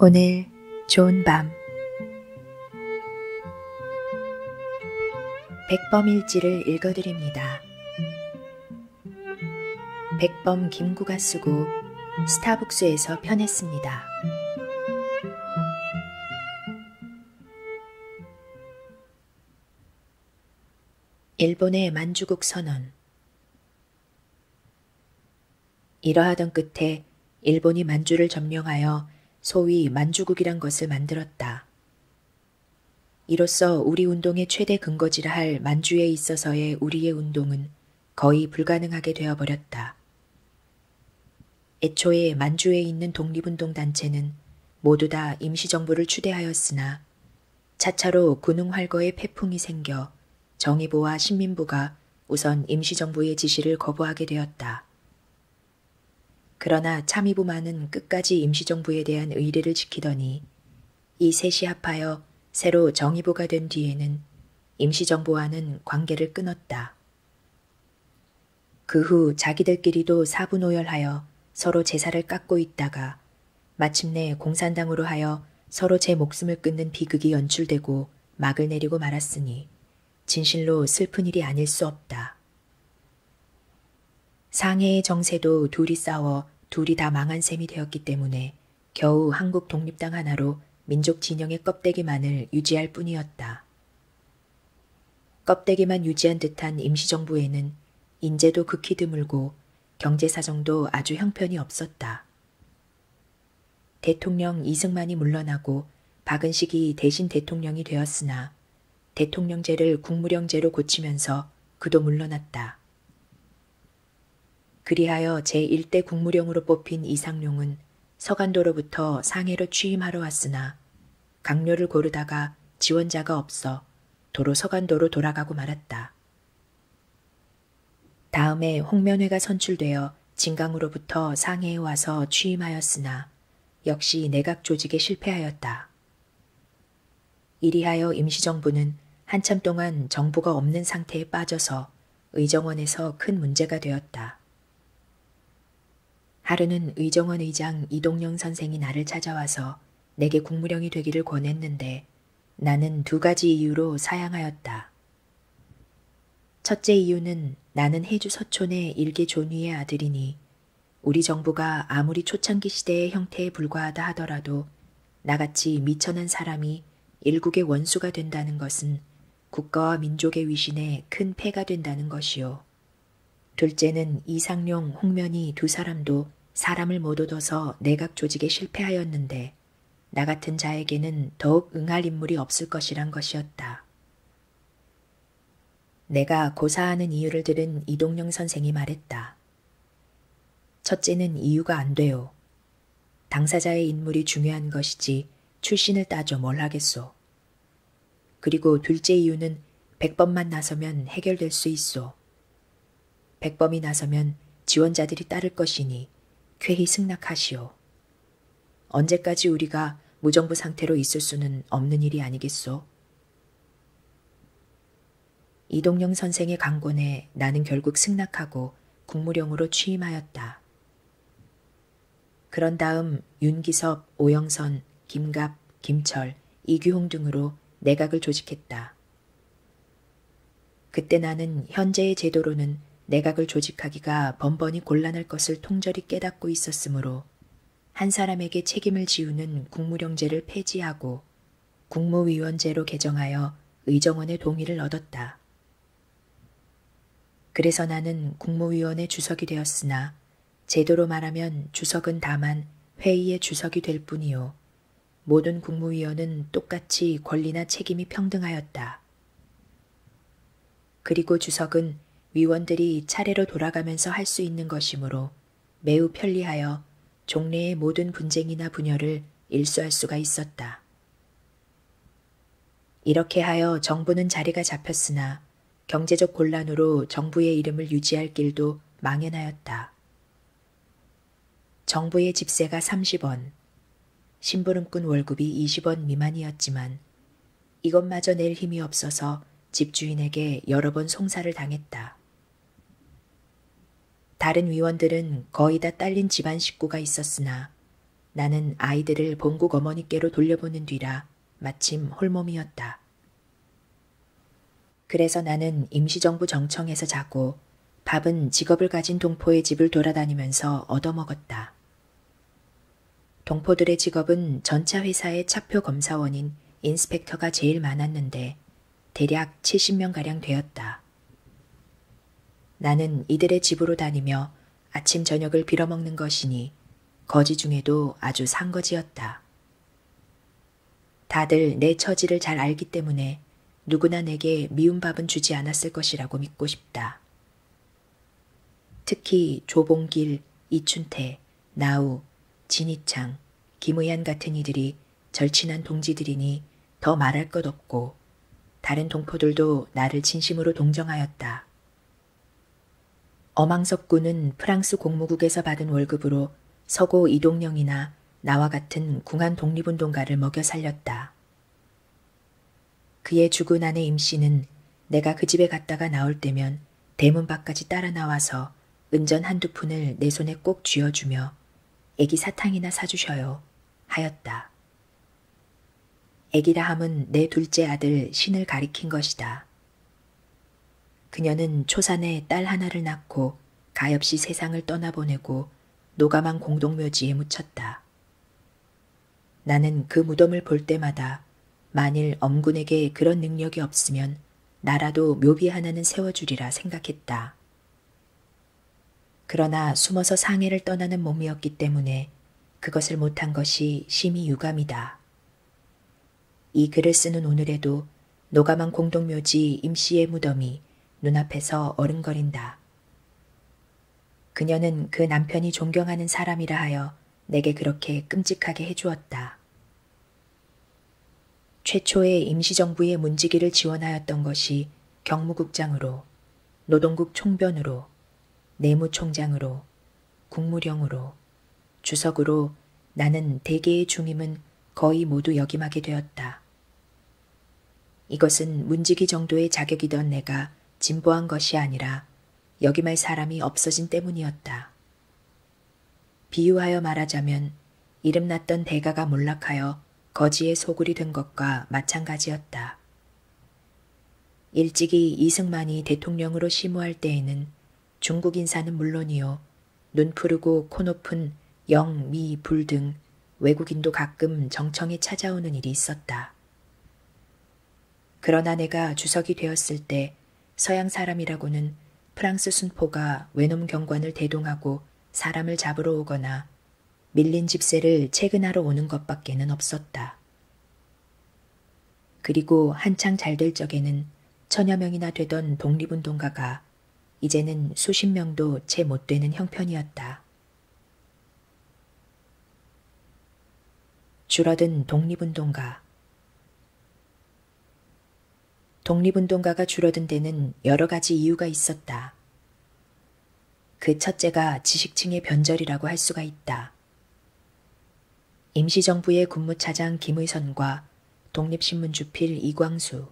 오늘 좋은 밤 백범일지를 읽어드립니다. 백범 김구가 쓰고 스타북스에서 편했습니다. 일본의 만주국 선언 이러하던 끝에 일본이 만주를 점령하여 소위 만주국이란 것을 만들었다. 이로써 우리 운동의 최대 근거지라 할 만주에 있어서의 우리의 운동은 거의 불가능하게 되어버렸다. 애초에 만주에 있는 독립운동 단체는 모두 다 임시정부를 추대하였으나 차차로 군웅 활거의 패풍이 생겨 정의보와 신민부가 우선 임시정부의 지시를 거부하게 되었다. 그러나 참의부만은 끝까지 임시정부에 대한 의리를 지키더니 이 셋이 합하여 새로 정의부가 된 뒤에는 임시정부와는 관계를 끊었다. 그 후 자기들끼리도 사분오열하여 서로 제사를 깎고 있다가 마침내 공산당으로 하여 서로 제 목숨을 끊는 비극이 연출되고 막을 내리고 말았으니 진실로 슬픈 일이 아닐 수 없다. 상해의 정세도 둘이 싸워 둘이 다 망한 셈이 되었기 때문에 겨우 한국 독립당 하나로 민족 진영의 껍데기만을 유지할 뿐이었다. 껍데기만 유지한 듯한 임시정부에는 인재도 극히 드물고 경제 사정도 아주 형편이 없었다. 대통령 이승만이 물러나고 박은식이 대신 대통령이 되었으나 대통령제를 국무령제로 고치면서 그도 물러났다. 그리하여 제1대 국무령으로 뽑힌 이상룡은 서간도로부터 상해로 취임하러 왔으나 강료를 고르다가 지원자가 없어 도로 서간도로 돌아가고 말았다. 다음에 홍면회가 선출되어 진강으로부터 상해에 와서 취임하였으나 역시 내각 조직에 실패하였다. 이리하여 임시정부는 한참 동안 정부가 없는 상태에 빠져서 의정원에서 큰 문제가 되었다. 하루는 의정원 의장 이동영 선생이 나를 찾아와서 내게 국무령이 되기를 권했는데 나는 두 가지 이유로 사양하였다. 첫째 이유는 나는 해주 서촌의 일개 존위의 아들이니 우리 정부가 아무리 초창기 시대의 형태에 불과하다 하더라도 나같이 미천한 사람이 일국의 원수가 된다는 것은 국가와 민족의 위신에 큰 폐가 된다는 것이요. 둘째는 이상룡, 홍면이 두 사람도 사람을 못 얻어서 내각 조직에 실패하였는데 나 같은 자에게는 더욱 응할 인물이 없을 것이란 것이었다. 내가 고사하는 이유를 들은 이동영 선생이 말했다. 첫째는 이유가 안 돼요. 당사자의 인물이 중요한 것이지 출신을 따져 뭘 하겠소. 그리고 둘째 이유는 백번만 나서면 해결될 수 있소. 백범이 나서면 지원자들이 따를 것이니 쾌히 승낙하시오. 언제까지 우리가 무정부 상태로 있을 수는 없는 일이 아니겠소? 이동영 선생의 강권에 나는 결국 승낙하고 국무령으로 취임하였다. 그런 다음 윤기섭, 오영선, 김갑, 김철, 이규홍 등으로 내각을 조직했다. 그때 나는 현재의 제도로는 내각을 조직하기가 번번이 곤란할 것을 통절히 깨닫고 있었으므로 한 사람에게 책임을 지우는 국무령제를 폐지하고 국무위원제로 개정하여 의정원의 동의를 얻었다. 그래서 나는 국무위원의 주석이 되었으나 제도로 말하면 주석은 다만 회의의 주석이 될 뿐이요. 모든 국무위원은 똑같이 권리나 책임이 평등하였다. 그리고 주석은 위원들이 차례로 돌아가면서 할 수 있는 것이므로 매우 편리하여 종래의 모든 분쟁이나 분열을 일수할 수가 있었다. 이렇게 하여 정부는 자리가 잡혔으나 경제적 곤란으로 정부의 이름을 유지할 길도 망연하였다. 정부의 집세가 30원, 심부름꾼 월급이 20원 미만이었지만 이것마저 낼 힘이 없어서 집주인에게 여러 번 송사를 당했다. 다른 위원들은 거의 다 딸린 집안 식구가 있었으나 나는 아이들을 본국 어머니께로 돌려보는 뒤라 마침 홀몸이었다. 그래서 나는 임시정부 정청에서 자고 밥은 직업을 가진 동포의 집을 돌아다니면서 얻어먹었다. 동포들의 직업은 전차 회사의 차표 검사원인 인스펙터가 제일 많았는데 대략 70명가량 되었다. 나는 이들의 집으로 다니며 아침 저녁을 빌어먹는 것이니 거지 중에도 아주 상거지였다. 다들 내 처지를 잘 알기 때문에 누구나 내게 미운 밥은 주지 않았을 것이라고 믿고 싶다. 특히 조봉길, 이춘태, 나우, 진희창, 김의한 같은 이들이 절친한 동지들이니 더 말할 것 없고 다른 동포들도 나를 진심으로 동정하였다. 어망석 군은 프랑스 공무국에서 받은 월급으로 서고 이동령이나 나와 같은 궁한 독립운동가를 먹여 살렸다. 그의 죽은 아내 임씨는 내가 그 집에 갔다가 나올 때면 대문 밖까지 따라 나와서 은전 한두 푼을 내 손에 꼭 쥐어주며 애기 사탕이나 사주셔요 하였다. 애기라 함은 내 둘째 아들 신을 가리킨 것이다. 그녀는 초산에 딸 하나를 낳고 가엾이 세상을 떠나보내고 노가망 공동묘지에 묻혔다. 나는 그 무덤을 볼 때마다 만일 엄군에게 그런 능력이 없으면 나라도 묘비 하나는 세워주리라 생각했다. 그러나 숨어서 상해를 떠나는 몸이었기 때문에 그것을 못한 것이 심히 유감이다. 이 글을 쓰는 오늘에도 노가망 공동묘지 임씨의 무덤이 눈앞에서 어른거린다. 그녀는 그 남편이 존경하는 사람이라 하여 내게 그렇게 끔찍하게 해주었다. 최초의 임시정부의 문지기를 지원하였던 것이 경무국장으로, 노동국 총변으로, 내무총장으로, 국무령으로, 주석으로 나는 대개의 중임은 거의 모두 역임하게 되었다. 이것은 문지기 정도의 자격이던 내가 진보한 것이 아니라 여기말 사람이 없어진 때문이었다. 비유하여 말하자면 이름났던 대가가 몰락하여 거지의 소굴이 된 것과 마찬가지였다. 일찍이 이승만이 대통령으로 시무할 때에는 중국 인사는 물론이요, 눈 푸르고 코 높은 영, 미, 불등 외국인도 가끔 정청이 찾아오는 일이 있었다. 그러나 내가 주석이 되었을 때 서양 사람이라고는 프랑스 순포가 외놈 경관을 대동하고 사람을 잡으러 오거나 밀린 집세를 체근하러 오는 것밖에는 없었다. 그리고 한창 잘 될 적에는 천여 명이나 되던 독립운동가가 이제는 수십 명도 채 못되는 형편이었다. 줄어든 독립운동가 독립운동가가 줄어든 데는 여러 가지 이유가 있었다. 그 첫째가 지식층의 변절이라고 할 수가 있다. 임시정부의 군무차장 김의선과 독립신문주필 이광수,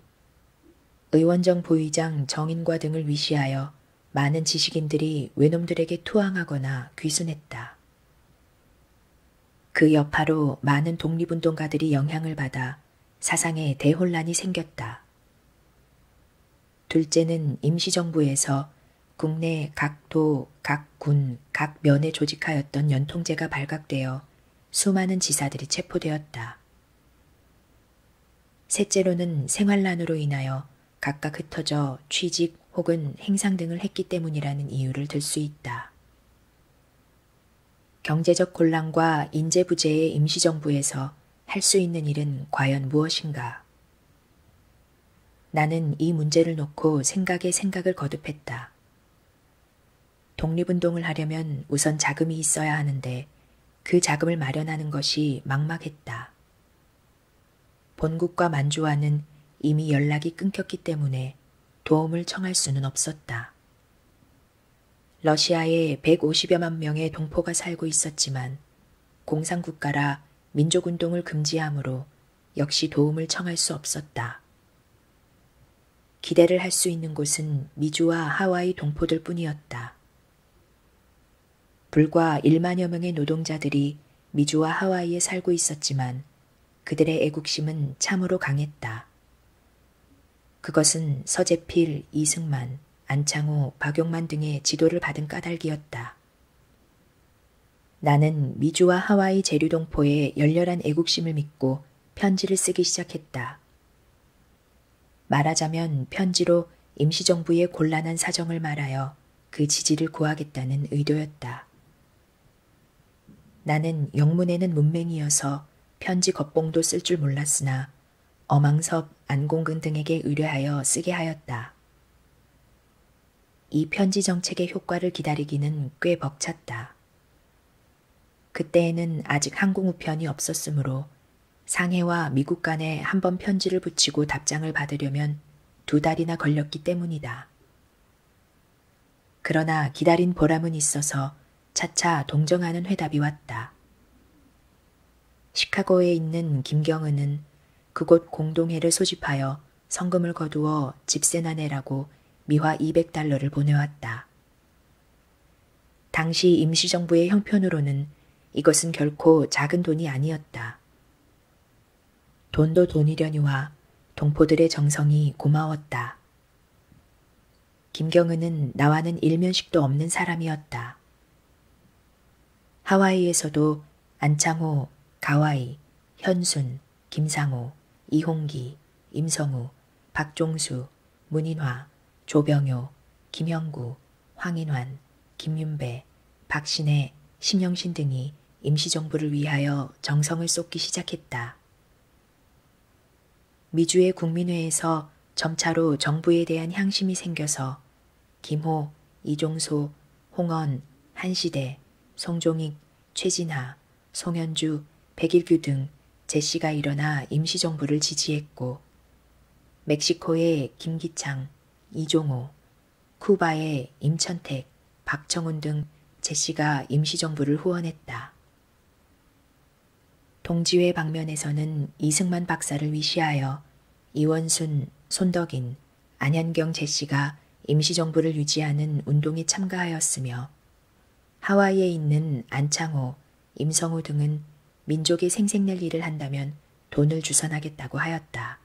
의원정 보의장 정인과 등을 위시하여 많은 지식인들이 외놈들에게 투항하거나 귀순했다. 그 여파로 많은 독립운동가들이 영향을 받아 사상에 대혼란이 생겼다. 둘째는 임시정부에서 국내 각 도, 각 군, 각 면에 조직하였던 연통제가 발각되어 수많은 지사들이 체포되었다. 셋째로는 생활난으로 인하여 각각 흩어져 취직 혹은 행상 등을 했기 때문이라는 이유를 들 수 있다. 경제적 곤란과 인재부재의 임시정부에서 할 수 있는 일은 과연 무엇인가? 나는 이 문제를 놓고 생각에 생각을 거듭했다. 독립운동을 하려면 우선 자금이 있어야 하는데 그 자금을 마련하는 것이 막막했다. 본국과 만주와는 이미 연락이 끊겼기 때문에 도움을 청할 수는 없었다. 러시아에 150여만 명의 동포가 살고 있었지만 공산국가라 민족운동을 금지하므로 역시 도움을 청할 수 없었다. 기대를 할 수 있는 곳은 미주와 하와이 동포들 뿐이었다. 불과 1만여 명의 노동자들이 미주와 하와이에 살고 있었지만 그들의 애국심은 참으로 강했다. 그것은 서재필, 이승만, 안창호, 박용만 등의 지도를 받은 까닭이었다. 나는 미주와 하와이 제류동포의 열렬한 애국심을 믿고 편지를 쓰기 시작했다. 말하자면 편지로 임시정부의 곤란한 사정을 말하여 그 지지를 구하겠다는 의도였다. 나는 영문에는 문맹이어서 편지 겉봉도 쓸 줄 몰랐으나 어망섭, 안공근 등에게 의뢰하여 쓰게 하였다. 이 편지 정책의 효과를 기다리기는 꽤 벅찼다. 그때에는 아직 항공 우편이 없었으므로 상해와 미국 간에 한 번 편지를 붙이고 답장을 받으려면 두 달이나 걸렸기 때문이다. 그러나 기다린 보람은 있어서 차차 동정하는 회답이 왔다. 시카고에 있는 김경은은 그곳 공동회를 소집하여 성금을 거두어 집세나 내라고 미화 200달러를 보내왔다. 당시 임시정부의 형편으로는 이것은 결코 작은 돈이 아니었다. 돈도 돈이려니와 동포들의 정성이 고마웠다. 김경은은 나와는 일면식도 없는 사람이었다. 하와이에서도 안창호, 가와이, 현순, 김상호, 이홍기, 임성우, 박종수, 문인화, 조병효, 김형구, 황인환, 김윤배, 박신혜, 심영신 등이 임시정부를 위하여 정성을 쏟기 시작했다. 미주의 국민회에서 점차로 정부에 대한 향심이 생겨서 김호, 이종소, 홍언, 한시대, 송종익, 최진하, 송현주, 백일규 등 제씨가 일어나 임시정부를 지지했고 멕시코의 김기창, 이종호, 쿠바의 임천택, 박정훈 등 제시가 임시정부를 후원했다. 동지회 방면에서는 이승만 박사를 위시하여 이원순, 손덕인, 안현경 제시가 임시정부를 유지하는 운동에 참가하였으며 하와이에 있는 안창호, 임성우 등은 민족이 생색낼 일을 한다면 돈을 주선하겠다고 하였다.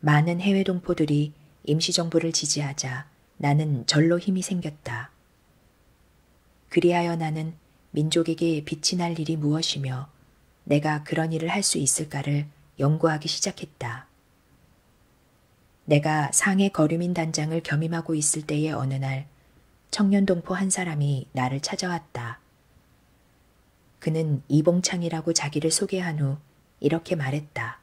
많은 해외 동포들이 임시정부를 지지하자 나는 절로 힘이 생겼다. 그리하여 나는 민족에게 빛이 날 일이 무엇이며 내가 그런 일을 할 수 있을까를 연구하기 시작했다. 내가 상해 거류민 단장을 겸임하고 있을 때의 어느 날 청년동포 한 사람이 나를 찾아왔다. 그는 이봉창이라고 자기를 소개한 후 이렇게 말했다.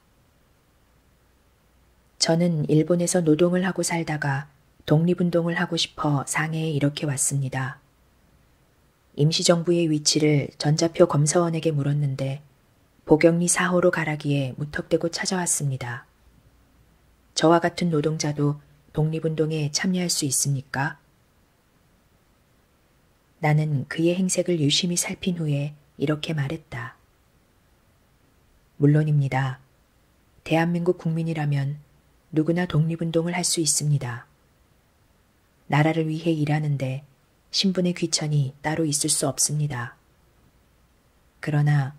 저는 일본에서 노동을 하고 살다가 독립운동을 하고 싶어 상해에 이렇게 왔습니다. 임시정부의 위치를 전자표 검사원에게 물었는데 보경리 4호로 가라기에 무턱대고 찾아왔습니다. 저와 같은 노동자도 독립운동에 참여할 수 있습니까? 나는 그의 행색을 유심히 살핀 후에 이렇게 말했다. 물론입니다. 대한민국 국민이라면 누구나 독립운동을 할 수 있습니다. 나라를 위해 일하는데 신분의 귀천이 따로 있을 수 없습니다. 그러나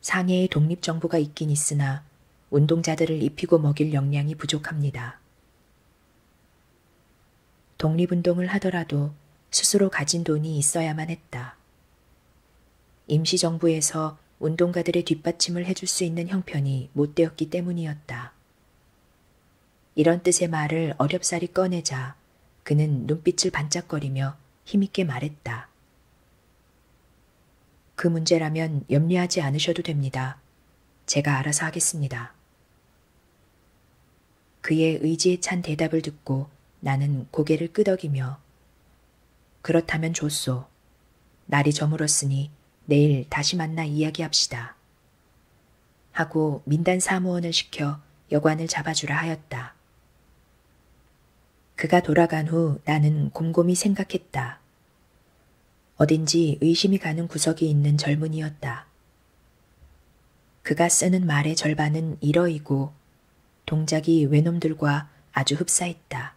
상해의 독립정부가 있긴 있으나 운동자들을 입히고 먹일 역량이 부족합니다. 독립운동을 하더라도 스스로 가진 돈이 있어야만 했다. 임시정부에서 운동가들의 뒷받침을 해줄 수 있는 형편이 못 되었기 때문이었다. 이런 뜻의 말을 어렵사리 꺼내자 그는 눈빛을 반짝거리며 힘있게 말했다. 그 문제라면 염려하지 않으셔도 됩니다. 제가 알아서 하겠습니다. 그의 의지에 찬 대답을 듣고 나는 고개를 끄덕이며 그렇다면 좋소. 날이 저물었으니 내일 다시 만나 이야기합시다. 하고 민단 사무원을 시켜 여관을 잡아주라 하였다. 그가 돌아간 후 나는 곰곰이 생각했다. 어딘지 의심이 가는 구석이 있는 젊은이였다. 그가 쓰는 말의 절반은 일어이고 동작이 외놈들과 아주 흡사했다.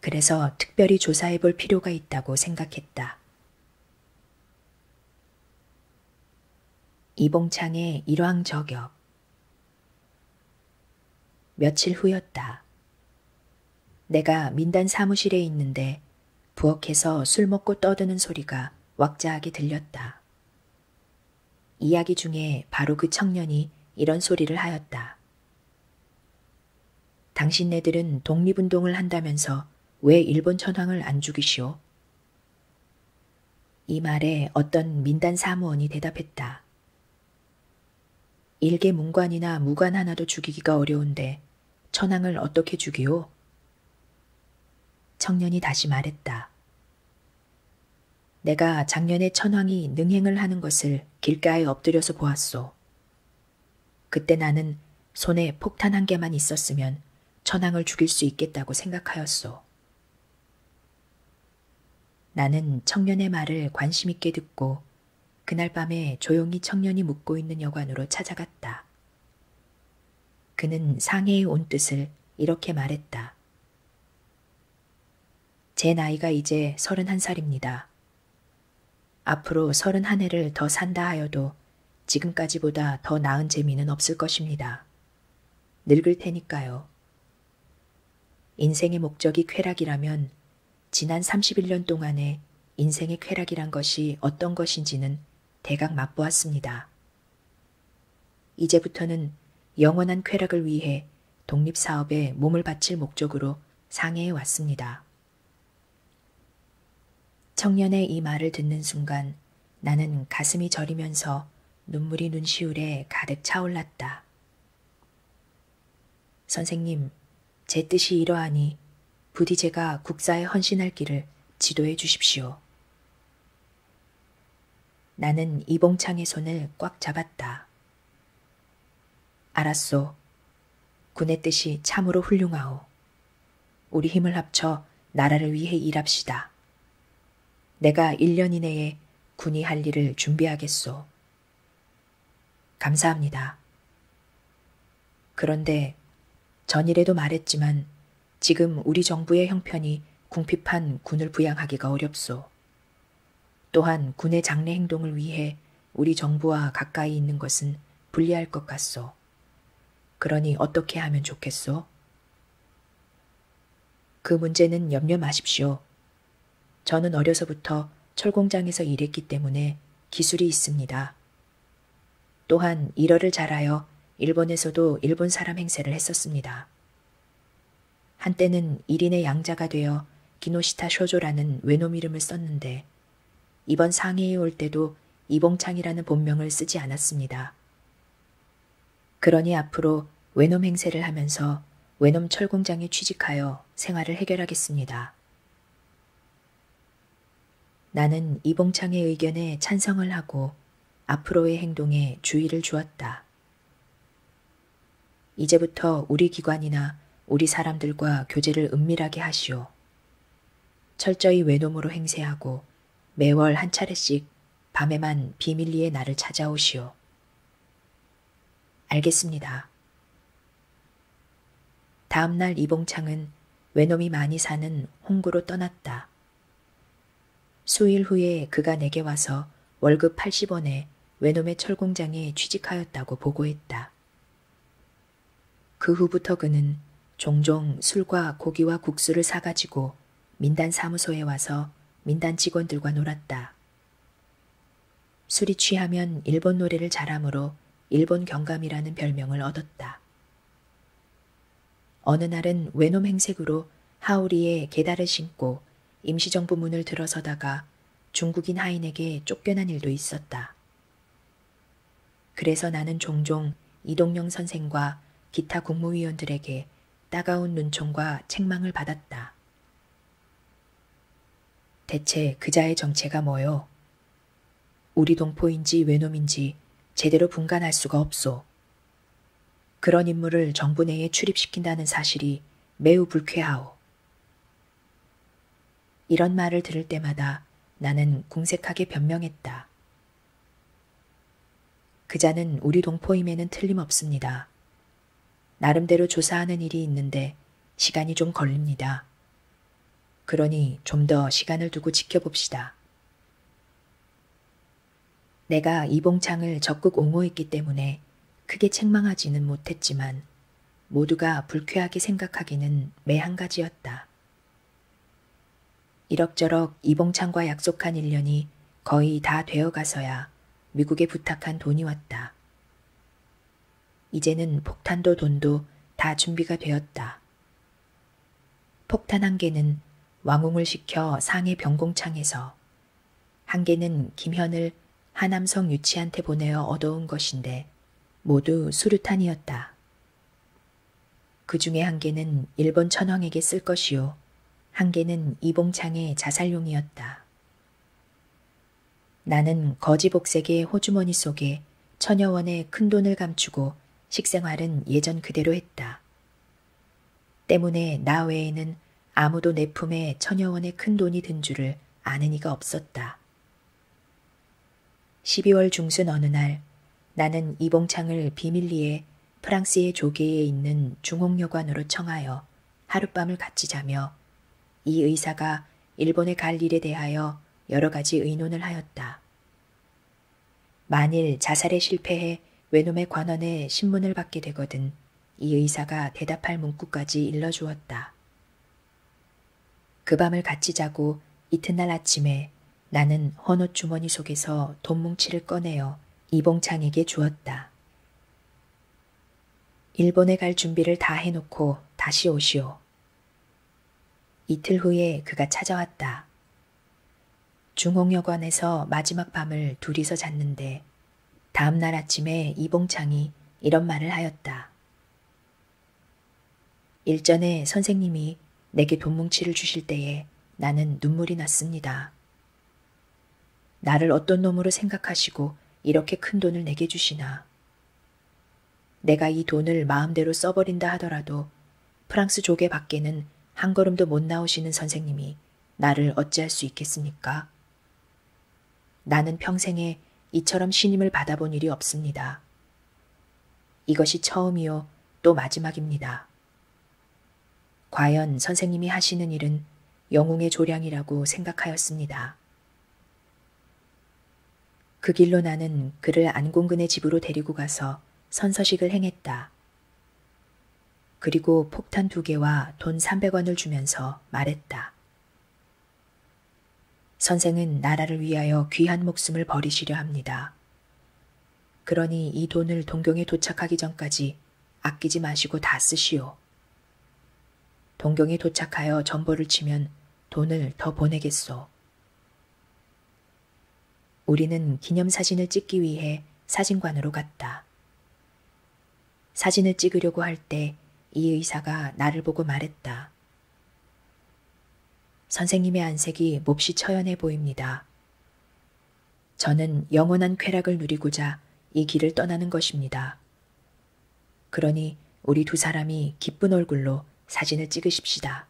그래서 특별히 조사해 볼 필요가 있다고 생각했다. 이봉창의 일왕저격 며칠 후였다. 내가 민단 사무실에 있는데 부엌에서 술 먹고 떠드는 소리가 왁자하게 들렸다. 이야기 중에 바로 그 청년이 이런 소리를 하였다. 당신네들은 독립운동을 한다면서 왜 일본 천황을 안 죽이시오? 이 말에 어떤 민단 사무원이 대답했다. 일개 문관이나 무관 하나도 죽이기가 어려운데 천황을 어떻게 죽이오? 청년이 다시 말했다. 내가 작년에 천황이 능행을 하는 것을 길가에 엎드려서 보았소. 그때 나는 손에 폭탄 한 개만 있었으면 천황을 죽일 수 있겠다고 생각하였소. 나는 청년의 말을 관심있게 듣고 그날 밤에 조용히 청년이 묵고 있는 여관으로 찾아갔다. 그는 상해에 온 뜻을 이렇게 말했다. 제 나이가 이제 서른한 살입니다. 앞으로 서른한 해를 더 산다 하여도 지금까지보다 더 나은 재미는 없을 것입니다. 늙을 테니까요. 인생의 목적이 쾌락이라면 지난 31년 동안에 인생의 쾌락이란 것이 어떤 것인지는 대각 맛보았습니다. 이제부터는 영원한 쾌락을 위해 독립사업에 몸을 바칠 목적으로 상해해 왔습니다. 청년의 이 말을 듣는 순간 나는 가슴이 저리면서 눈물이 눈시울에 가득 차올랐다. 선생님, 제 뜻이 이러하니 부디 제가 국사에 헌신할 길을 지도해 주십시오. 나는 이봉창의 손을 꽉 잡았다. 알았소. 군의 뜻이 참으로 훌륭하오. 우리 힘을 합쳐 나라를 위해 일합시다. 내가 1년 이내에 군이 할 일을 준비하겠소. 감사합니다. 그런데 전일에도 말했지만 지금 우리 정부의 형편이 궁핍한 군을 부양하기가 어렵소. 또한 군의 장래 행동을 위해 우리 정부와 가까이 있는 것은 불리할 것 같소. 그러니 어떻게 하면 좋겠소? 그 문제는 염려 마십시오. 저는 어려서부터 철공장에서 일했기 때문에 기술이 있습니다. 또한 일어를 잘하여 일본에서도 일본 사람 행세를 했었습니다. 한때는 일인의 양자가 되어 기노시타 쇼조라는 외놈 이름을 썼는데 이번 상해에 올 때도 이봉창이라는 본명을 쓰지 않았습니다. 그러니 앞으로 외놈 행세를 하면서 외놈 철공장에 취직하여 생활을 해결하겠습니다. 나는 이봉창의 의견에 찬성을 하고 앞으로의 행동에 주의를 주었다. 이제부터 우리 기관이나 우리 사람들과 교제를 은밀하게 하시오. 철저히 외놈으로 행세하고 매월 한 차례씩 밤에만 비밀리에 나를 찾아오시오. 알겠습니다. 다음날 이봉창은 외놈이 많이 사는 홍구로 떠났다. 수일 후에 그가 내게 와서 월급 80원에 외놈의 철공장에 취직하였다고 보고했다. 그 후부터 그는 종종 술과 고기와 국수를 사가지고 민단 사무소에 와서 민단 직원들과 놀았다. 술이 취하면 일본 노래를 잘하므로 일본 경감이라는 별명을 얻었다. 어느 날은 외놈 행색으로 하오리에 계달을 신고 임시정부 문을 들어서다가 중국인 하인에게 쫓겨난 일도 있었다. 그래서 나는 종종 이동영 선생과 기타 국무위원들에게 따가운 눈총과 책망을 받았다. 대체 그자의 정체가 뭐요? 우리 동포인지 외놈인지 제대로 분간할 수가 없소. 그런 인물을 정부 내에 출입시킨다는 사실이 매우 불쾌하오. 이런 말을 들을 때마다 나는 궁색하게 변명했다. 그자는 우리 동포임에는 틀림없습니다. 나름대로 조사하는 일이 있는데 시간이 좀 걸립니다. 그러니 좀 더 시간을 두고 지켜봅시다. 내가 이봉창을 적극 옹호했기 때문에 크게 책망하지는 못했지만 모두가 불쾌하게 생각하기는 매한 가지였다. 이럭저럭 이봉창과 약속한 1년이 거의 다 되어가서야 미국에 부탁한 돈이 왔다. 이제는 폭탄도 돈도 다 준비가 되었다. 폭탄 한 개는 왕웅을 시켜 상해 병공창에서, 한 개는 김현을 하남성 유치한테 보내어 얻어온 것인데 모두 수류탄이었다. 그 중에 한 개는 일본 천황에게 쓸 것이요, 한 개는 이봉창의 자살용이었다. 나는 거지 복색의 호주머니 속에 천여원의 큰돈을 감추고 식생활은 예전 그대로 했다. 때문에 나 외에는 아무도 내 품에 천여원의 큰돈이 든 줄을 아는 이가 없었다. 12월 중순 어느 날 나는 이봉창을 비밀리에 프랑스의 조계에 있는 중홍여관으로 청하여 하룻밤을 같이 자며 이 의사가 일본에 갈 일에 대하여 여러 가지 의논을 하였다. 만일 자살에 실패해 외놈의 관원에 신문을 받게 되거든 이 의사가 대답할 문구까지 일러주었다. 그 밤을 같이 자고 이튿날 아침에 나는 헌옷 주머니 속에서 돈 뭉치를 꺼내어 이봉창에게 주었다. 일본에 갈 준비를 다 해놓고 다시 오시오. 이틀 후에 그가 찾아왔다. 중홍여관에서 마지막 밤을 둘이서 잤는데 다음 날 아침에 이봉창이 이런 말을 하였다. 일전에 선생님이 내게 돈뭉치를 주실 때에 나는 눈물이 났습니다. 나를 어떤 놈으로 생각하시고 이렇게 큰 돈을 내게 주시나. 내가 이 돈을 마음대로 써버린다 하더라도 프랑스 조개 밖에는 한 걸음도 못 나오시는 선생님이 나를 어찌할 수 있겠습니까? 나는 평생에 이처럼 신임을 받아본 일이 없습니다. 이것이 처음이요 또 마지막입니다. 과연 선생님이 하시는 일은 영웅의 조량이라고 생각하였습니다. 그 길로 나는 그를 안공근의 집으로 데리고 가서 선서식을 행했다. 그리고 폭탄 두 개와 돈 300원을 주면서 말했다. 선생은 나라를 위하여 귀한 목숨을 버리시려 합니다. 그러니 이 돈을 동경에 도착하기 전까지 아끼지 마시고 다 쓰시오. 동경에 도착하여 점보를 치면 돈을 더 보내겠소. 우리는 기념사진을 찍기 위해 사진관으로 갔다. 사진을 찍으려고 할 때 이 의사가 나를 보고 말했다. 선생님의 안색이 몹시 처연해 보입니다. 저는 영원한 쾌락을 누리고자 이 길을 떠나는 것입니다. 그러니 우리 두 사람이 기쁜 얼굴로 사진을 찍으십시다.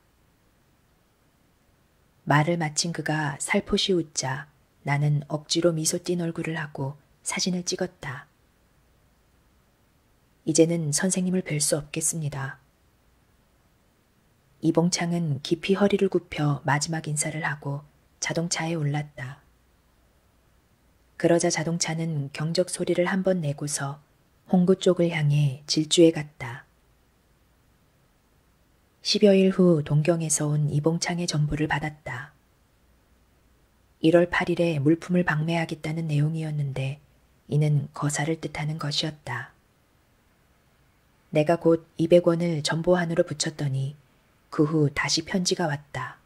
말을 마친 그가 살포시 웃자 나는 억지로 미소 띤 얼굴을 하고 사진을 찍었다. 이제는 선생님을 뵐 수 없겠습니다. 이봉창은 깊이 허리를 굽혀 마지막 인사를 하고 자동차에 올랐다. 그러자 자동차는 경적 소리를 한 번 내고서 홍구 쪽을 향해 질주해 갔다. 10여일 후 동경에서 온 이봉창의 전보를 받았다. 1월 8일에 물품을 방매하겠다는 내용이었는데 이는 거사를 뜻하는 것이었다. 내가 곧 200원을 전보한으로 붙였더니 그 후 다시 편지가 왔다.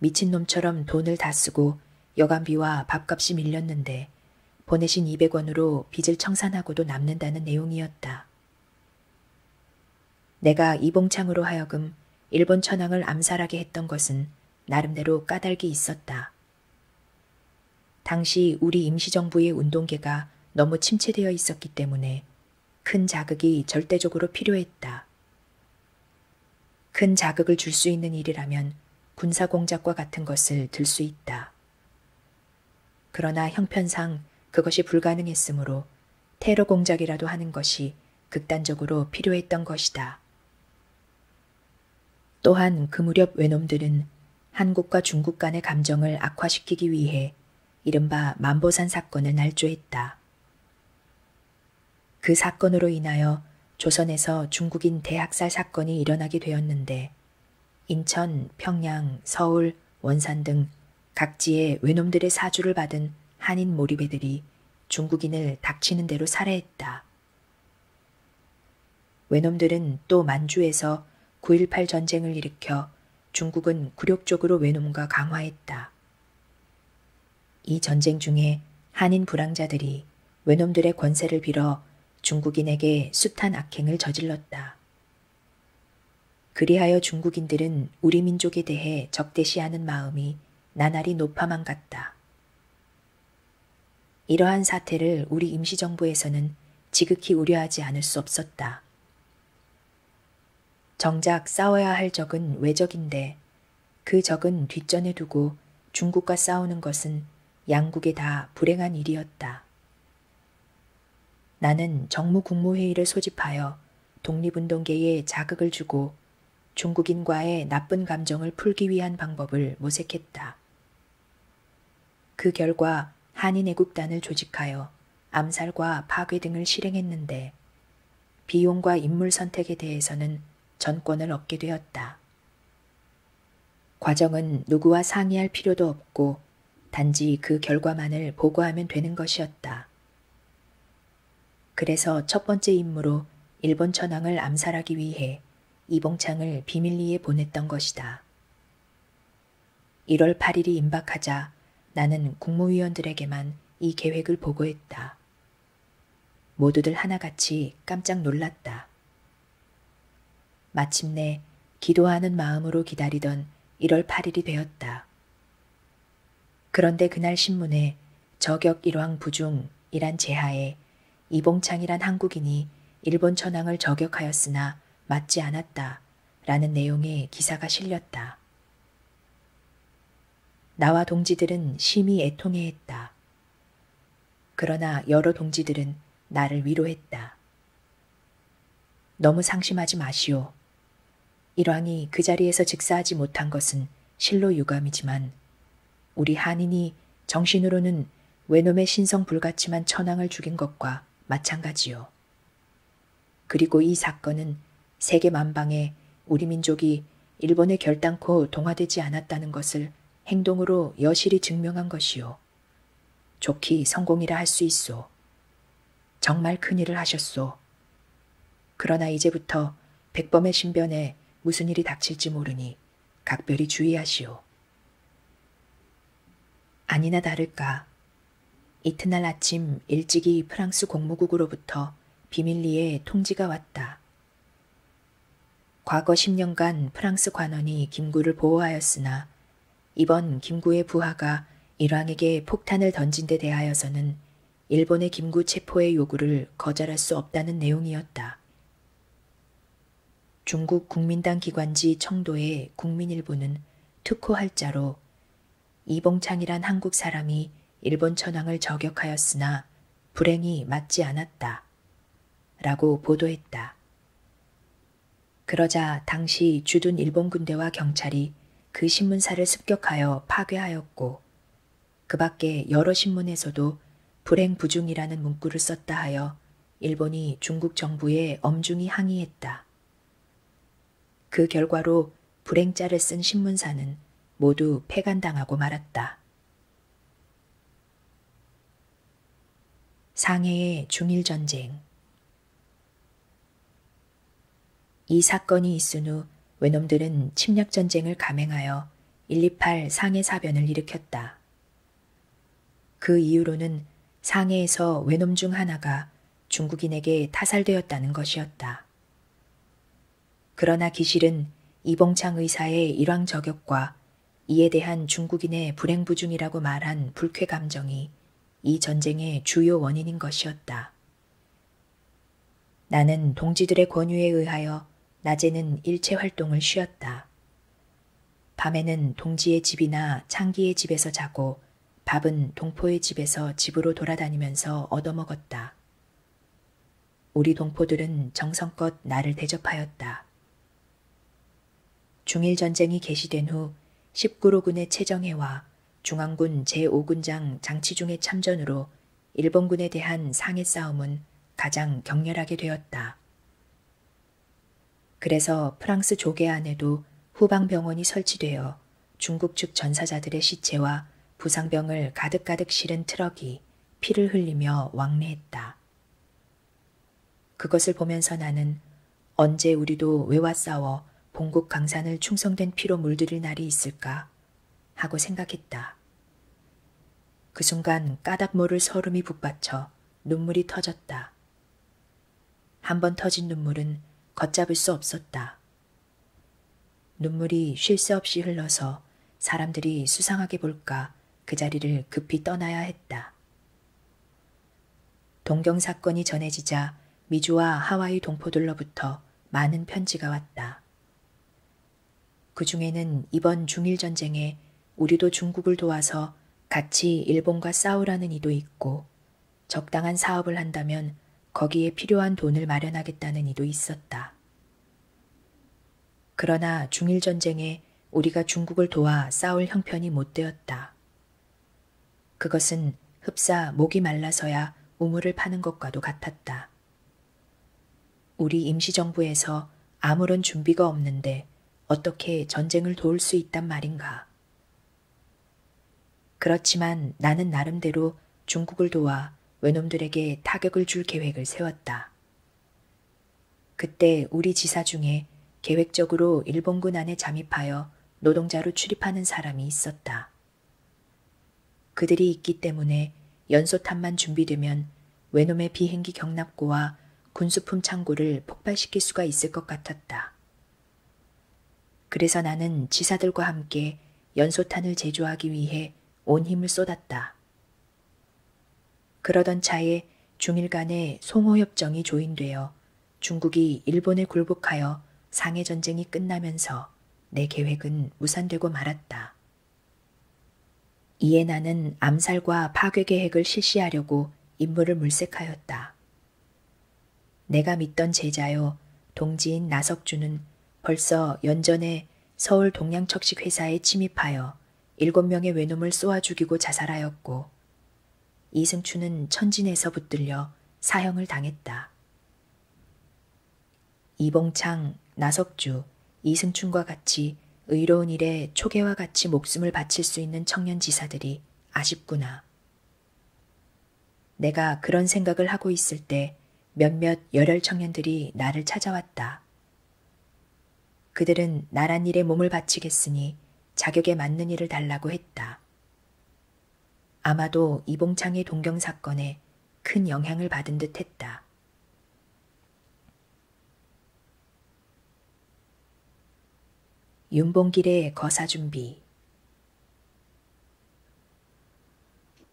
미친놈처럼 돈을 다 쓰고 여간비와 밥값이 밀렸는데 보내신 200원으로 빚을 청산하고도 남는다는 내용이었다. 내가 이봉창으로 하여금 일본 천황을 암살하게 했던 것은 나름대로 까닭이 있었다. 당시 우리 임시정부의 운동계가 너무 침체되어 있었기 때문에 큰 자극이 절대적으로 필요했다. 큰 자극을 줄 수 있는 일이라면 군사 공작과 같은 것을 들 수 있다. 그러나 형편상 그것이 불가능했으므로 테러 공작이라도 하는 것이 극단적으로 필요했던 것이다. 또한 그 무렵 외놈들은 한국과 중국 간의 감정을 악화시키기 위해 이른바 만보산 사건을 날조했다. 그 사건으로 인하여 조선에서 중국인 대학살 사건이 일어나게 되었는데 인천, 평양, 서울, 원산 등 각지의 외놈들의 사주를 받은 한인 몰입애들이 중국인을 닥치는 대로 살해했다. 외놈들은 또 만주에서 9.18 전쟁을 일으켜 중국은 굴욕적으로 외놈과 강화했다. 이 전쟁 중에 한인 불황자들이 외놈들의 권세를 빌어 중국인에게 숱한 악행을 저질렀다. 그리하여 중국인들은 우리 민족에 대해 적대시하는 마음이 나날이 높아만 갔다. 이러한 사태를 우리 임시정부에서는 지극히 우려하지 않을 수 없었다. 정작 싸워야 할 적은 외적인데 그 적은 뒷전에 두고 중국과 싸우는 것은 양국에 다 불행한 일이었다. 나는 정무국무회의를 소집하여 독립운동계에 자극을 주고 중국인과의 나쁜 감정을 풀기 위한 방법을 모색했다. 그 결과 한인애국단을 조직하여 암살과 파괴 등을 실행했는데 비용과 인물 선택에 대해서는 전권을 얻게 되었다. 과정은 누구와 상의할 필요도 없고 단지 그 결과만을 보고하면 되는 것이었다. 그래서 첫 번째 임무로 일본 천황을 암살하기 위해 이봉창을 비밀리에 보냈던 것이다. 1월 8일이 임박하자 나는 국무위원들에게만 이 계획을 보고했다. 모두들 하나같이 깜짝 놀랐다. 마침내 기도하는 마음으로 기다리던 1월 8일이 되었다. 그런데 그날 신문에 저격 일왕 부중이란 제하에 이봉창이란 한국인이 일본 천황을 저격하였으나 맞지 않았다. 라는 내용의 기사가 실렸다. 나와 동지들은 심히 애통해했다. 그러나 여러 동지들은 나를 위로했다. 너무 상심하지 마시오. 일왕이 그 자리에서 즉사하지 못한 것은 실로 유감이지만 우리 한인이 정신으로는 외놈의 신성 불같지만 천황을 죽인 것과 마찬가지요. 그리고 이 사건은 세계 만방에 우리 민족이 일본에 결단코 동화되지 않았다는 것을 행동으로 여실히 증명한 것이요. 좋기 성공이라 할 수 있소. 정말 큰일을 하셨소. 그러나 이제부터 백범의 신변에 무슨 일이 닥칠지 모르니 각별히 주의하시오. 아니나 다를까. 이튿날 아침 일찍이 프랑스 공무국으로부터 비밀리에 통지가 왔다. 과거 10년간 프랑스 관원이 김구를 보호하였으나 이번 김구의 부하가 일왕에게 폭탄을 던진 데 대하여서는 일본의 김구 체포의 요구를 거절할 수 없다는 내용이었다. 중국 국민당 기관지 청도의 국민일보는 특호 할자로 이봉창이란 한국 사람이 일본 천황을 저격하였으나 불행이 맞지 않았다. 라고 보도했다. 그러자 당시 주둔 일본 군대와 경찰이 그 신문사를 습격하여 파괴하였고, 그 밖에 여러 신문에서도 불행 부중이라는 문구를 썼다 하여 일본이 중국 정부에 엄중히 항의했다. 그 결과로 불행자를 쓴 신문사는 모두 폐간당하고 말았다. 상해의 중일전쟁 이 사건이 있은 후 외놈들은 침략전쟁을 감행하여 128 상해 사변을 일으켰다. 그 이후로는 상해에서 외놈 중 하나가 중국인에게 타살되었다는 것이었다. 그러나 기실은 이봉창 의사의 일왕 저격과 이에 대한 중국인의 불행부중이라고 말한 불쾌 감정이 이 전쟁의 주요 원인인 것이었다. 나는 동지들의 권유에 의하여 낮에는 일체 활동을 쉬었다. 밤에는 동지의 집이나 창기의 집에서 자고 밥은 동포의 집에서 집으로 돌아다니면서 얻어먹었다. 우리 동포들은 정성껏 나를 대접하였다. 중일전쟁이 개시된 후 19로군의 최정해와 중앙군 제5군장 장치중의 참전으로 일본군에 대한 상해 싸움은 가장 격렬하게 되었다. 그래서 프랑스 조계 안에도 후방병원이 설치되어 중국 측 전사자들의 시체와 부상병을 가득가득 실은 트럭이 피를 흘리며 왕래했다. 그것을 보면서 나는 언제 우리도 외와 싸워 봉국 강산을 충성된 피로 물들일 날이 있을까 하고 생각했다. 그 순간 까닭 모를 서름이 북받쳐 눈물이 터졌다. 한번 터진 눈물은 걷잡을 수 없었다. 눈물이 쉴 새 없이 흘러서 사람들이 수상하게 볼까 그 자리를 급히 떠나야 했다. 동경 사건이 전해지자 미주와 하와이 동포들로부터 많은 편지가 왔다. 그 중에는 이번 중일 전쟁에 우리도 중국을 도와서 같이 일본과 싸우라는 이도 있고 적당한 사업을 한다면 거기에 필요한 돈을 마련하겠다는 이도 있었다. 그러나 중일전쟁에 우리가 중국을 도와 싸울 형편이 못 되었다. 그것은 흡사 목이 말라서야 우물을 파는 것과도 같았다. 우리 임시정부에서 아무런 준비가 없는데 어떻게 전쟁을 도울 수 있단 말인가. 그렇지만 나는 나름대로 중국을 도와 외놈들에게 타격을 줄 계획을 세웠다. 그때 우리 지사 중에 계획적으로 일본군 안에 잠입하여 노동자로 출입하는 사람이 있었다. 그들이 있기 때문에 연소탄만 준비되면 외놈의 비행기 경납고와 군수품 창고를 폭발시킬 수가 있을 것 같았다. 그래서 나는 지사들과 함께 연소탄을 제조하기 위해 온 힘을 쏟았다. 그러던 차에 중일 간의 송호협정이 조인되어 중국이 일본에 굴복하여 상해 전쟁이 끝나면서 내 계획은 무산되고 말았다. 이에 나는 암살과 파괴 계획을 실시하려고 임무를 물색하였다. 내가 믿던 제자요 동지인 나석주는 벌써 연전에 서울 동양척식 회사에 침입하여 일곱 명의 외놈을 쏘아 죽이고 자살하였고 이승추는 천진에서 붙들려 사형을 당했다. 이봉창, 나석주, 이승춘과 같이 의로운 일에 초계와 같이 목숨을 바칠 수 있는 청년 지사들이 아쉽구나. 내가 그런 생각을 하고 있을 때 몇몇 열혈 청년들이 나를 찾아왔다. 그들은 나란 일에 몸을 바치겠으니 자격에 맞는 일을 달라고 했다. 아마도 이봉창의 동경 사건에 큰 영향을 받은 듯 했다. 윤봉길의 거사 준비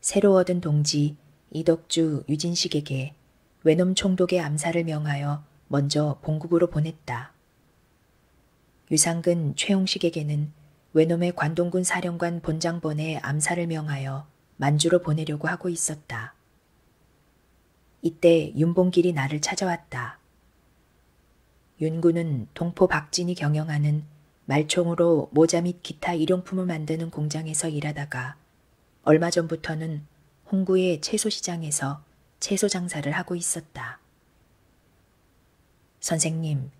새로 얻은 동지 이덕주 유진식에게 외놈 총독의 암살을 명하여 먼저 본국으로 보냈다. 유상근 최홍식에게는 외놈의 관동군 사령관 본장본의 암살을 명하여 만주로 보내려고 하고 있었다. 이때 윤봉길이 나를 찾아왔다. 윤구는 동포 박진이 경영하는 말총으로 모자 및 기타 일용품을 만드는 공장에서 일하다가 얼마 전부터는 홍구의 채소시장에서 채소 장사를 하고 있었다. 선생님,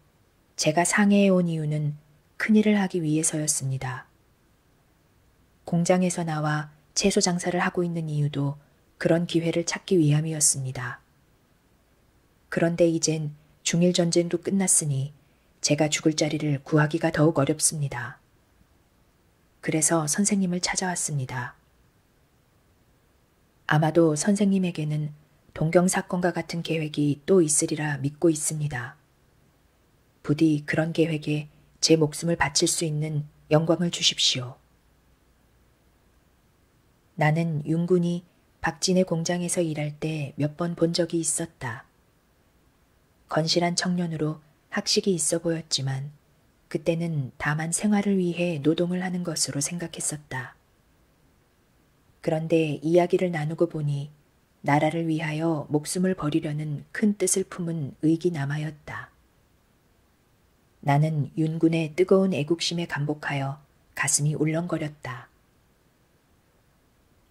제가 상해에 온 이유는 큰일을 하기 위해서였습니다. 공장에서 나와 채소 장사를 하고 있는 이유도 그런 기회를 찾기 위함이었습니다. 그런데 이젠 중일 전쟁도 끝났으니 제가 죽을 자리를 구하기가 더욱 어렵습니다. 그래서 선생님을 찾아왔습니다. 아마도 선생님에게는 동경 사건과 같은 계획이 또 있으리라 믿고 있습니다. 부디 그런 계획에 제 목숨을 바칠 수 있는 영광을 주십시오. 나는 윤군이 박진의 공장에서 일할 때 몇 번 본 적이 있었다. 건실한 청년으로 학식이 있어 보였지만 그때는 다만 생활을 위해 노동을 하는 것으로 생각했었다. 그런데 이야기를 나누고 보니 나라를 위하여 목숨을 버리려는 큰 뜻을 품은 의기남하였다. 나는 윤군의 뜨거운 애국심에 감복하여 가슴이 울렁거렸다.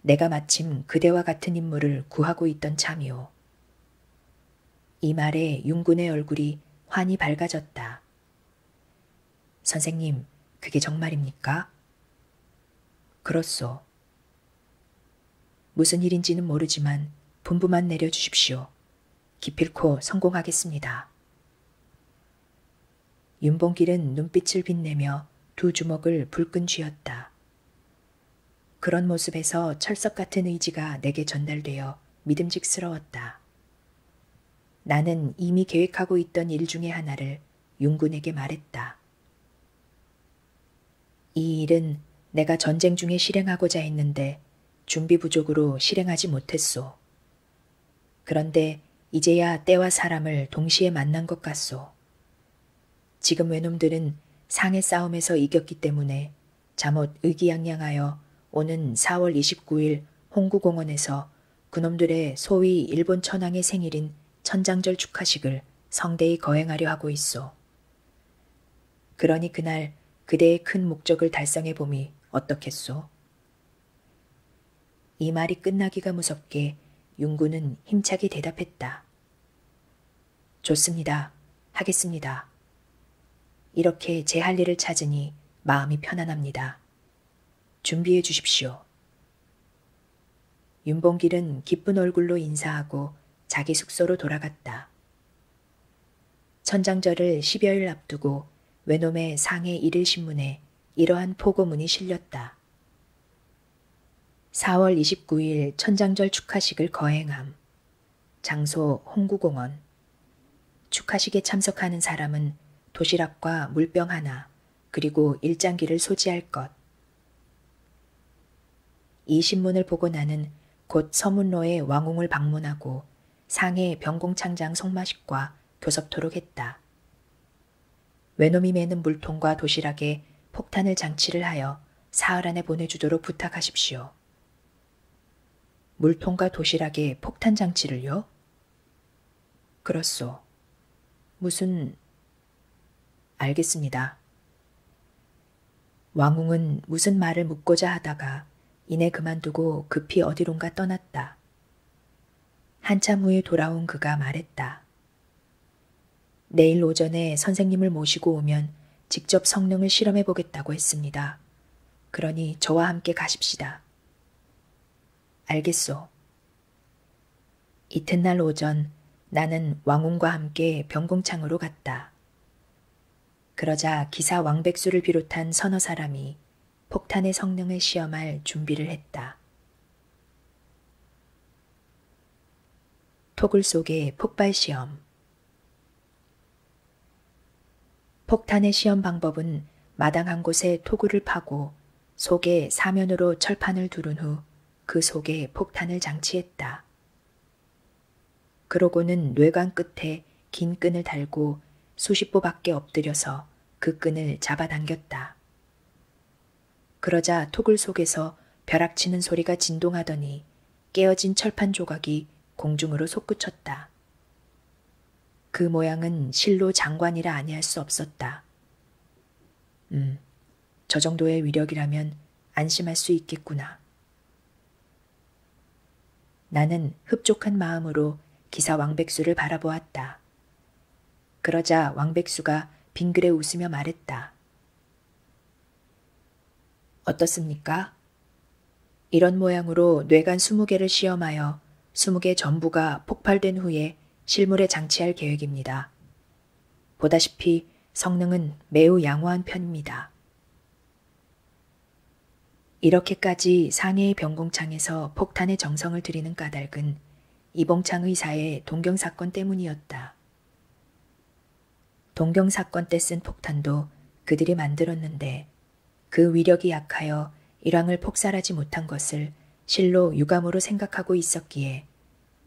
내가 마침 그대와 같은 인물을 구하고 있던 참이오. 이 말에 윤군의 얼굴이 환히 밝아졌다. 선생님, 그게 정말입니까? 그렇소. 무슨 일인지는 모르지만 분부만 내려주십시오. 기필코 성공하겠습니다. 윤봉길은 눈빛을 빛내며 두 주먹을 불끈 쥐었다. 그런 모습에서 철석 같은 의지가 내게 전달되어 믿음직스러웠다. 나는 이미 계획하고 있던 일 중에 하나를 윤군에게 말했다. 이 일은 내가 전쟁 중에 실행하고자 했는데 준비 부족으로 실행하지 못했소. 그런데 이제야 때와 사람을 동시에 만난 것 같소. 지금 외놈들은 상해 싸움에서 이겼기 때문에 잠옷 의기양양하여 오는 4월 29일 홍구공원에서 그놈들의 소위 일본 천황의 생일인 천장절 축하식을 성대히 거행하려 하고 있소. 그러니 그날 그대의 큰 목적을 달성해 봄이 어떻겠소? 이 말이 끝나기가 무섭게 윤구는 힘차게 대답했다. 좋습니다. 하겠습니다. 이렇게 제 할 일을 찾으니 마음이 편안합니다. 준비해 주십시오. 윤봉길은 기쁜 얼굴로 인사하고 자기 숙소로 돌아갔다. 천장절을 10여일 앞두고 외놈의 상해 일일신문에 이러한 포고문이 실렸다. 4월 29일 천장절 축하식을 거행함. 장소 홍구공원. 축하식에 참석하는 사람은 도시락과 물병 하나, 그리고 일장기를 소지할 것. 이 신문을 보고 나는 곧 서문로의 왕궁을 방문하고 상해 병공창장 성마식과 교섭토록 했다. 외놈이 매는 물통과 도시락에 폭탄을 장치를 하여 사흘 안에 보내주도록 부탁하십시오. 물통과 도시락에 폭탄 장치를요? 그렇소. 무슨... 알겠습니다. 왕웅은 무슨 말을 묻고자 하다가 이내 그만두고 급히 어디론가 떠났다. 한참 후에 돌아온 그가 말했다. 내일 오전에 선생님을 모시고 오면 직접 성능을 실험해 보겠다고 했습니다. 그러니 저와 함께 가십시다. 알겠소. 이튿날 오전 나는 왕웅과 함께 병공창으로 갔다. 그러자 기사 왕백수를 비롯한 서너 사람이 폭탄의 성능을 시험할 준비를 했다. 토굴 속의 폭발 시험 폭탄의 시험 방법은 마당 한 곳에 토구를 파고 속에 사면으로 철판을 두른 후 그 속에 폭탄을 장치했다. 그러고는 뇌관 끝에 긴 끈을 달고 수십 보밖에 엎드려서 그 끈을 잡아당겼다. 그러자 토굴 속에서 벼락치는 소리가 진동하더니 깨어진 철판 조각이 공중으로 솟구쳤다. 그 모양은 실로 장관이라 아니할 수 없었다. 음, 저 정도의 위력이라면 안심할 수 있겠구나. 나는 흡족한 마음으로 기사 왕백수를 바라보았다. 그러자 왕백수가 빙그레 웃으며 말했다. 어떻습니까? 이런 모양으로 뇌간 20개를 시험하여 20개 전부가 폭발된 후에 실물에 장치할 계획입니다. 보다시피 성능은 매우 양호한 편입니다. 이렇게까지 상해의 병공창에서 폭탄의 정성을 들이는 까닭은 이봉창 의사의 동경사건 때문이었다. 동경 사건 때 쓴 폭탄도 그들이 만들었는데 그 위력이 약하여 일왕을 폭살하지 못한 것을 실로 유감으로 생각하고 있었기에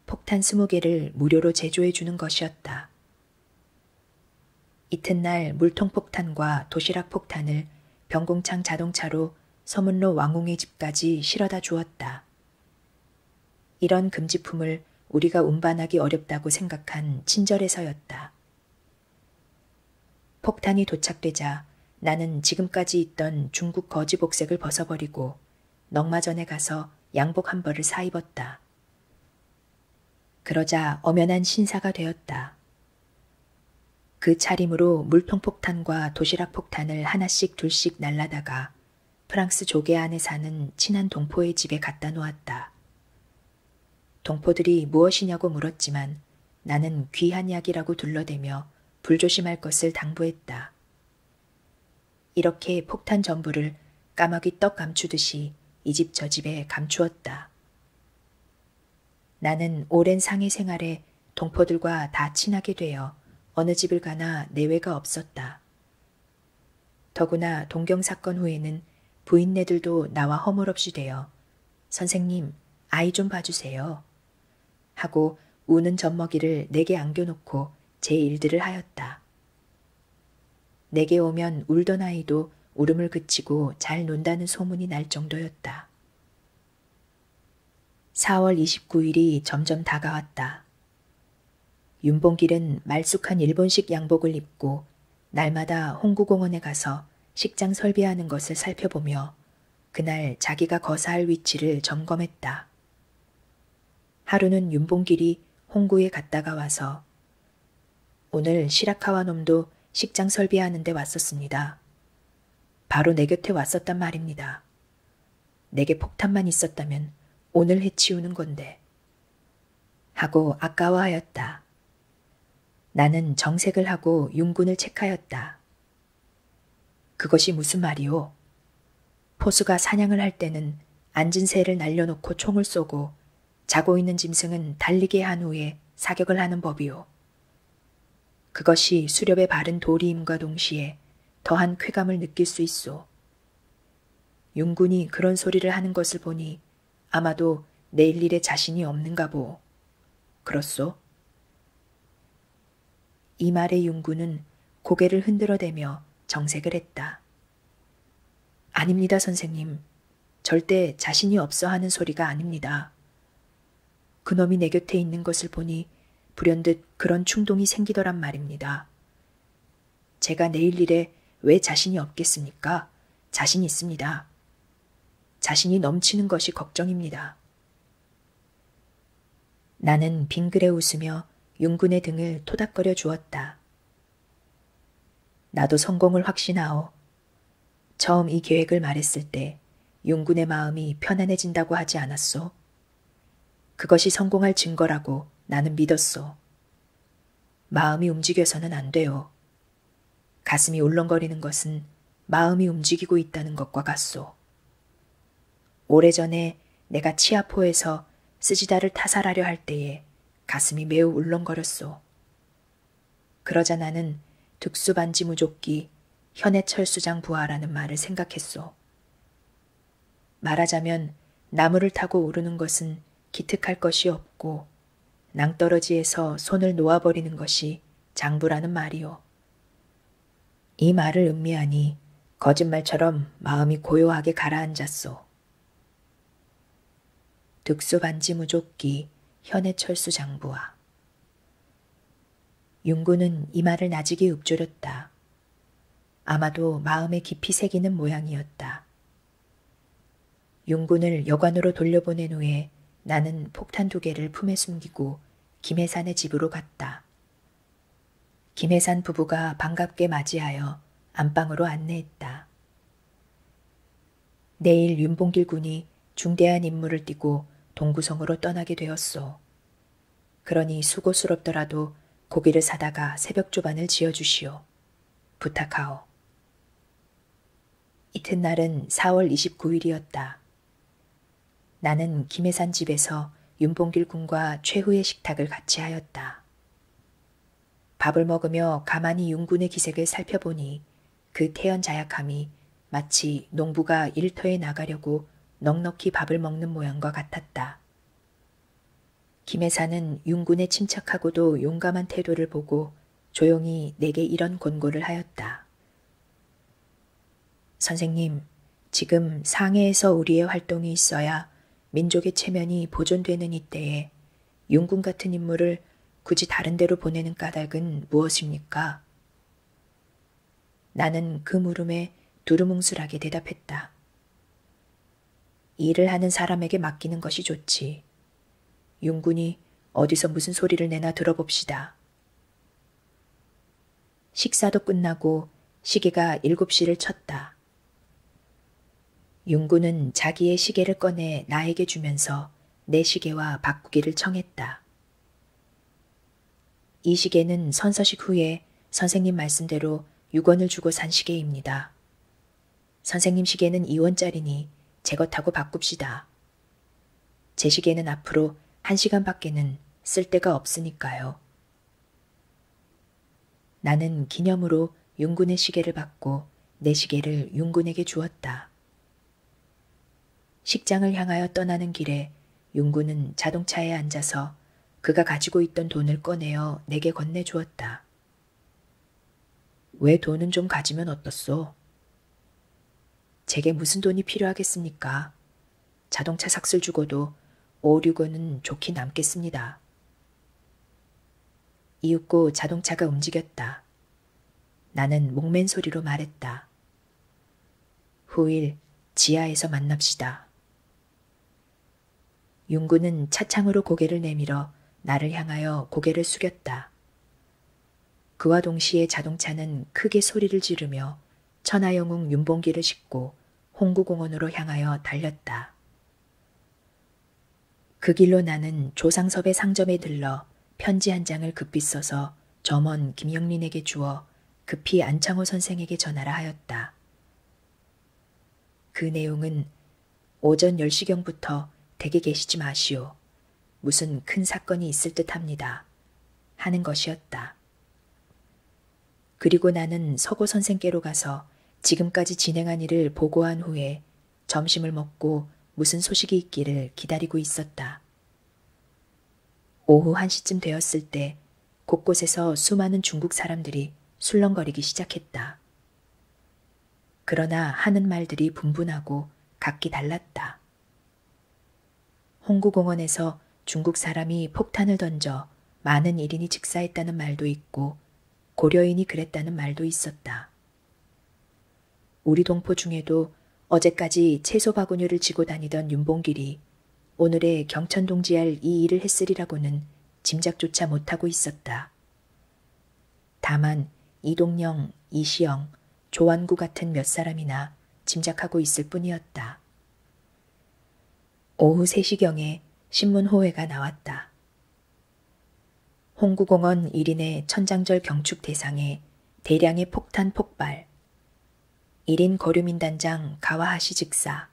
폭탄 스무 개를 무료로 제조해 주는 것이었다. 이튿날 물통 폭탄과 도시락 폭탄을 병공창 자동차로 서문로 왕웅의 집까지 실어다 주었다. 이런 금지품을 우리가 운반하기 어렵다고 생각한 친절에서였다. 폭탄이 도착되자 나는 지금까지 있던 중국 거지 복색을 벗어버리고 넉마전에 가서 양복 한 벌을 사입었다. 그러자 엄연한 신사가 되었다. 그 차림으로 물통 폭탄과 도시락 폭탄을 하나씩 둘씩 날라다가 프랑스 조개 안에 사는 친한 동포의 집에 갖다 놓았다. 동포들이 무엇이냐고 물었지만 나는 귀한 약이라고 둘러대며 불조심할 것을 당부했다. 이렇게 폭탄 전부를 까마귀 떡 감추듯이 이 집 저 집에 감추었다. 나는 오랜 상해 생활에 동포들과 다 친하게 되어 어느 집을 가나 내외가 없었다. 더구나 동경 사건 후에는 부인네들도 나와 허물없이 되어 선생님, 아이 좀 봐주세요. 하고 우는 젖먹이를 내게 안겨놓고 제 일들을 하였다. 내게 오면 울던 아이도 울음을 그치고 잘 논다는 소문이 날 정도였다. 4월 29일이 점점 다가왔다. 윤봉길은 말쑥한 일본식 양복을 입고 날마다 홍구공원에 가서 식장 설비하는 것을 살펴보며 그날 자기가 거사할 위치를 점검했다. 하루는 윤봉길이 홍구에 갔다가 와서 오늘 시라카와 놈도 식장 설비하는 데 왔었습니다. 바로 내 곁에 왔었단 말입니다. 내게 폭탄만 있었다면 오늘 해치우는 건데 하고 아까워하였다. 나는 정색을 하고 윤군을 책하였다. 그것이 무슨 말이오? 포수가 사냥을 할 때는 앉은 새를 날려놓고 총을 쏘고 자고 있는 짐승은 달리게 한 후에 사격을 하는 법이오. 그것이 수렵에 바른 도리임과 동시에 더한 쾌감을 느낄 수 있소. 윤군이 그런 소리를 하는 것을 보니 아마도 내일 일에 자신이 없는가 보. 그렇소? 이 말에 윤구는 고개를 흔들어대며 정색을 했다. 아닙니다, 선생님. 절대 자신이 없어 하는 소리가 아닙니다. 그놈이 내 곁에 있는 것을 보니 불현듯 그런 충동이 생기더란 말입니다. 제가 내일 일에 왜 자신이 없겠습니까? 자신 있습니다. 자신이 넘치는 것이 걱정입니다. 나는 빙그레 웃으며 윤군의 등을 토닥거려 주었다. 나도 성공을 확신하오. 처음 이 계획을 말했을 때 윤군의 마음이 편안해진다고 하지 않았소. 그것이 성공할 증거라고 나는 믿었소. 마음이 움직여서는 안 돼요. 가슴이 울렁거리는 것은 마음이 움직이고 있다는 것과 같소. 오래전에 내가 치아포에서 스지다를 타살하려 할 때에 가슴이 매우 울렁거렸소. 그러자 나는 득수반지 무조끼 현해철 수장 부하라는 말을 생각했소. 말하자면 나무를 타고 오르는 것은 기특할 것이 없고 낭떠러지에서 손을 놓아버리는 것이 장부라는 말이오. 이 말을 음미하니 거짓말처럼 마음이 고요하게 가라앉았소. 득수 반지 무조끼 현해철수 장부와 윤구는 이 말을 나직이 읊조렸다. 아마도 마음에 깊이 새기는 모양이었다. 윤군을 여관으로 돌려보낸 후에 나는 폭탄 두 개를 품에 숨기고 김해산의 집으로 갔다. 김해산 부부가 반갑게 맞이하여 안방으로 안내했다. 내일 윤봉길 군이 중대한 임무를 띠고 동구성으로 떠나게 되었소. 그러니 수고스럽더라도 고기를 사다가 새벽 조반을 지어주시오. 부탁하오. 이튿날은 4월 29일이었다. 나는 김해산 집에서 윤봉길 군과 최후의 식탁을 같이 하였다. 밥을 먹으며 가만히 윤군의 기색을 살펴보니 그 태연 자약함이 마치 농부가 일터에 나가려고 넉넉히 밥을 먹는 모양과 같았다. 김혜사는 윤군의 침착하고도 용감한 태도를 보고 조용히 내게 이런 권고를 하였다. 선생님, 지금 상해에서 우리의 활동이 있어야 민족의 체면이 보존되는 이때에 윤군 같은 인물을 굳이 다른 데로 보내는 까닭은 무엇입니까? 나는 그 물음에 두루뭉술하게 대답했다. 일을 하는 사람에게 맡기는 것이 좋지. 윤군이 어디서 무슨 소리를 내나 들어봅시다. 식사도 끝나고 시계가 일곱 시를 쳤다. 윤군은 자기의 시계를 꺼내 나에게 주면서 내 시계와 바꾸기를 청했다. 이 시계는 선서식 후에 선생님 말씀대로 6원을 주고 산 시계입니다. 선생님 시계는 2원짜리니 제거 타고 바꿉시다. 제 시계는 앞으로 1시간밖에는 쓸 데가 없으니까요. 나는 기념으로 윤군의 시계를 받고 내 시계를 윤군에게 주었다. 식장을 향하여 떠나는 길에 윤군은 자동차에 앉아서 그가 가지고 있던 돈을 꺼내어 내게 건네주었다. 왜 돈은 좀 가지면 어떻소? 제게 무슨 돈이 필요하겠습니까? 자동차 삭슬 주고도 5, 6원은 좋게 남겠습니다. 이윽고 자동차가 움직였다. 나는 목맨 소리로 말했다. 후일 지하에서 만납시다. 윤구는 차창으로 고개를 내밀어 나를 향하여 고개를 숙였다. 그와 동시에 자동차는 크게 소리를 지르며 천하영웅 윤봉기를 싣고 홍구공원으로 향하여 달렸다. 그 길로 나는 조상섭의 상점에 들러 편지 한 장을 급히 써서 점원 김영린에게 주어 급히 안창호 선생에게 전하라 하였다. 그 내용은 오전 10시경부터 댁에 계시지 마시오. 무슨 큰 사건이 있을 듯 합니다. 하는 것이었다. 그리고 나는 서고 선생께로 가서 지금까지 진행한 일을 보고한 후에 점심을 먹고 무슨 소식이 있기를 기다리고 있었다. 오후 1시쯤 되었을 때 곳곳에서 수많은 중국 사람들이 술렁거리기 시작했다. 그러나 하는 말들이 분분하고 각기 달랐다. 홍구공원에서 중국 사람이 폭탄을 던져 많은 일인이 직사했다는 말도 있고 고려인이 그랬다는 말도 있었다. 우리 동포 중에도 어제까지 채소 바구니를 지고 다니던 윤봉길이 오늘의 경천동지할 이 일을 했으리라고는 짐작조차 못하고 있었다. 다만 이동영, 이시영, 조완구 같은 몇 사람이나 짐작하고 있을 뿐이었다. 오후 3시경에 신문호회가 나왔다. 홍구공원 1인의 천장절 경축 대상에 대량의 폭탄 폭발, 1인 거류민단장 가와하시 직사,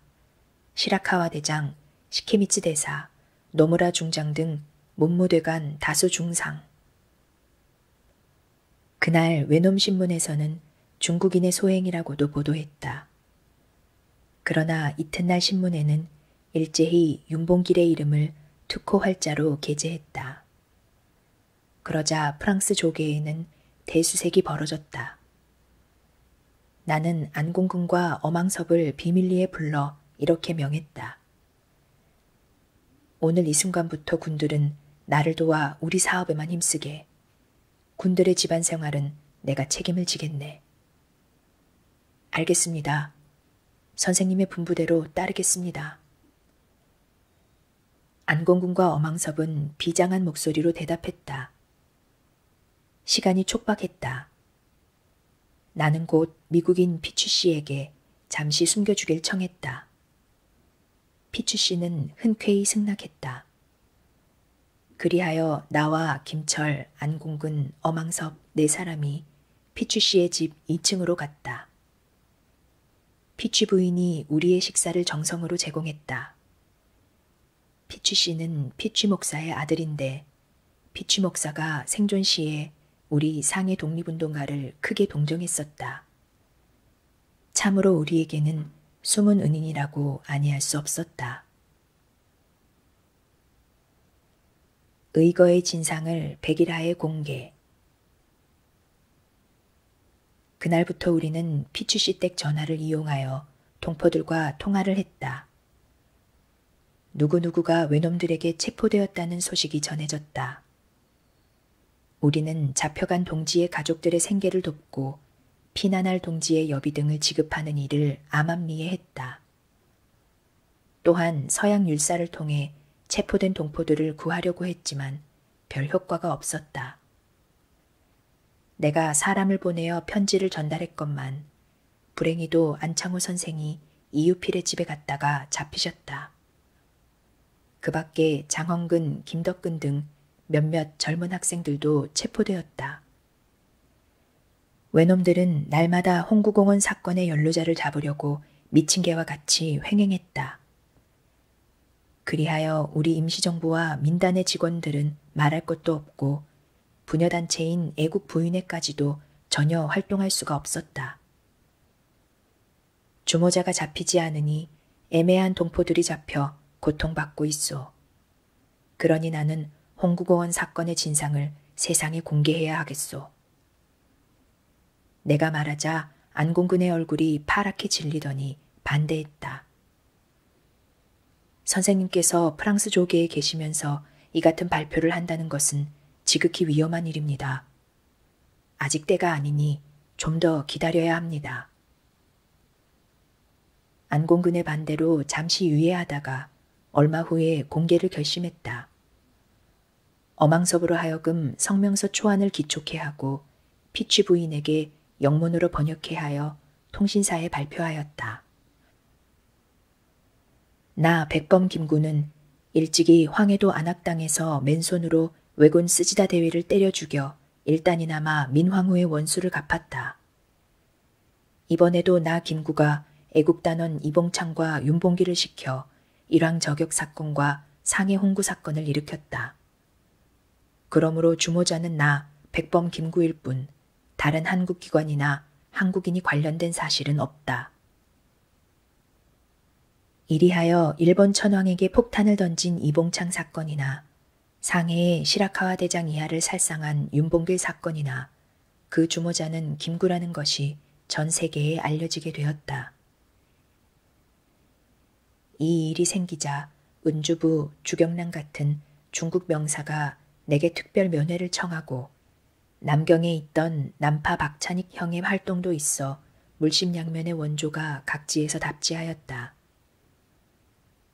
시라카와 대장 시케미츠 대사, 노무라 중장 등 몸무대간 다수 중상. 그날 외놈신문에서는 중국인의 소행이라고도 보도했다. 그러나 이튿날 신문에는 일제히 윤봉길의 이름을 투코 활자로 게재했다. 그러자 프랑스 조계에는 대수색이 벌어졌다. 나는 안공군과 어망섭을 비밀리에 불러 이렇게 명했다. 오늘 이 순간부터 군들은 나를 도와 우리 사업에만 힘쓰게. 군들의 집안 생활은 내가 책임을 지겠네. 알겠습니다. 선생님의 분부대로 따르겠습니다. 안공군과 어망섭은 비장한 목소리로 대답했다. 시간이 촉박했다. 나는 곧 미국인 피추 씨에게 잠시 숨겨주길 청했다. 피추 씨는 흔쾌히 승낙했다. 그리하여 나와 김철, 안공근, 어망섭 네 사람이 피추 씨의 집 2층으로 갔다. 피추 부인이 우리의 식사를 정성으로 제공했다. 피추 씨는 피추 목사의 아들인데 피치 목사가 생존 시에 우리 상해 독립운동가를 크게 동정했었다. 참으로 우리에게는 숨은 은인이라고 아니할 수 없었다. 의거의 진상을 백일하에 공개. 그날부터 우리는 피치시댁 전화를 이용하여 동포들과 통화를 했다. 누구누구가 외놈들에게 체포되었다는 소식이 전해졌다. 우리는 잡혀간 동지의 가족들의 생계를 돕고 피난할 동지의 여비 등을 지급하는 일을 암암리에 했다. 또한 서양 율사를 통해 체포된 동포들을 구하려고 했지만 별 효과가 없었다. 내가 사람을 보내어 편지를 전달했건만 불행히도 안창호 선생이 이유필의 집에 갔다가 잡히셨다. 그 밖에 장헌근, 김덕근 등 몇몇 젊은 학생들도 체포되었다. 외놈들은 날마다 홍구공원 사건의 연루자를 잡으려고 미친 개와 같이 횡행했다. 그리하여 우리 임시정부와 민단의 직원들은 말할 것도 없고 부녀단체인 애국 부인회까지도 전혀 활동할 수가 없었다. 주모자가 잡히지 않으니 애매한 동포들이 잡혀 고통받고 있소. 그러니 나는 홍구고원 사건의 진상을 세상에 공개해야 하겠소. 내가 말하자 안공근의 얼굴이 파랗게 질리더니 반대했다. 선생님께서 프랑스 조계에 계시면서 이 같은 발표를 한다는 것은 지극히 위험한 일입니다. 아직 때가 아니니 좀 더 기다려야 합니다. 안공근의 반대로 잠시 유예하다가 얼마 후에 공개를 결심했다. 어망섭으로 하여금 성명서 초안을 기촉해 하고 피치 부인에게 영문으로 번역해 하여 통신사에 발표하였다. 나 백범 김구는 일찍이 황해도 안악당에서 맨손으로 왜군 쓰지다 대위를 때려 죽여 일단이나마 민황후의 원수를 갚았다. 이번에도 나 김구가 애국단원 이봉창과 윤봉기를 시켜 일왕 저격 사건과 상해 홍구 사건을 일으켰다. 그러므로 주모자는 나 백범 김구일 뿐 다른 한국기관이나 한국인이 관련된 사실은 없다. 이리하여 일본 천황에게 폭탄을 던진 이봉창 사건이나 상해의 시라카와 대장 이하를 살상한 윤봉길 사건이나 그 주모자는 김구라는 것이 전 세계에 알려지게 되었다. 이 일이 생기자 은주부 주경란 같은 중국 명사가 내게 특별 면회를 청하고 남경에 있던 남파 박찬익 형의 활동도 있어 물심양면의 원조가 각지에서 답지하였다.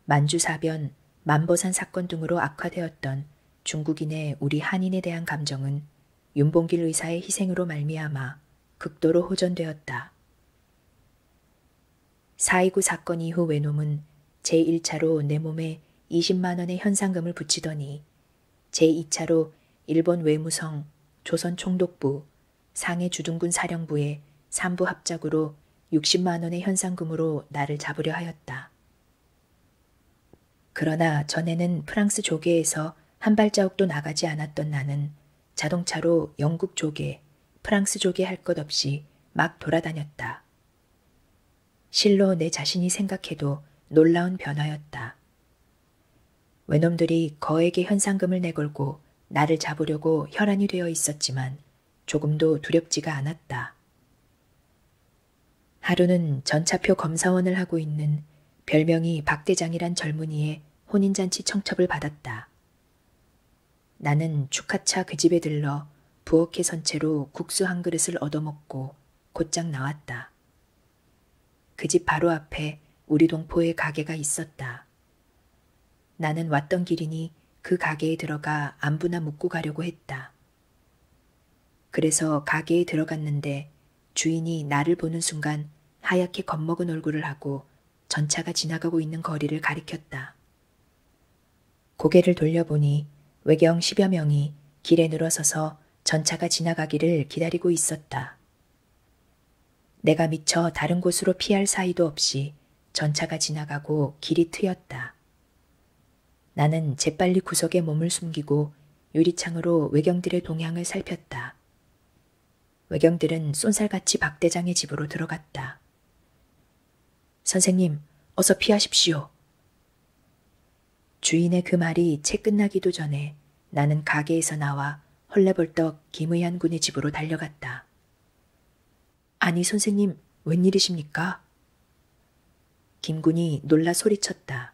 만주사변, 만보산 사건 등으로 악화되었던 중국인의 우리 한인에 대한 감정은 윤봉길 의사의 희생으로 말미암아 극도로 호전되었다. 4.29 사건 이후 외놈은 제1차로 내 몸에 20만원의 현상금을 붙이더니 제2차로 일본 외무성 조선총독부 상해 주둔군 사령부의 삼부 합작으로 60만원의 현상금으로 나를 잡으려 하였다. 그러나 전에는 프랑스 조계에서 한 발자국도 나가지 않았던 나는 자동차로 영국 조계, 프랑스 조계 할 것 없이 막 돌아다녔다. 실로 내 자신이 생각해도 놀라운 변화였다. 외놈들이 거액의 현상금을 내걸고 나를 잡으려고 혈안이 되어 있었지만 조금도 두렵지가 않았다. 하루는 전차표 검사원을 하고 있는 별명이 박대장이란 젊은이의 혼인잔치 청첩을 받았다. 나는 축하차 그 집에 들러 부엌에 선 채로 국수 한 그릇을 얻어먹고 곧장 나왔다. 그집 바로 앞에 우리 동포의 가게가 있었다. 나는 왔던 길이니 그 가게에 들어가 안부나 묻고 가려고 했다. 그래서 가게에 들어갔는데 주인이 나를 보는 순간 하얗게 겁먹은 얼굴을 하고 전차가 지나가고 있는 거리를 가리켰다. 고개를 돌려보니 외경 십여 명이 길에 늘어서서 전차가 지나가기를 기다리고 있었다. 내가 미처 다른 곳으로 피할 사이도 없이 전차가 지나가고 길이 트였다. 나는 재빨리 구석에 몸을 숨기고 유리창으로 외경들의 동향을 살폈다. 외경들은 쏜살같이 박대장의 집으로 들어갔다. 선생님, 어서 피하십시오. 주인의 그 말이 채 끝나기도 전에 나는 가게에서 나와 헐레벌떡 김의한 군의 집으로 달려갔다. 아니, 선생님, 웬일이십니까? 김군이 놀라 소리쳤다.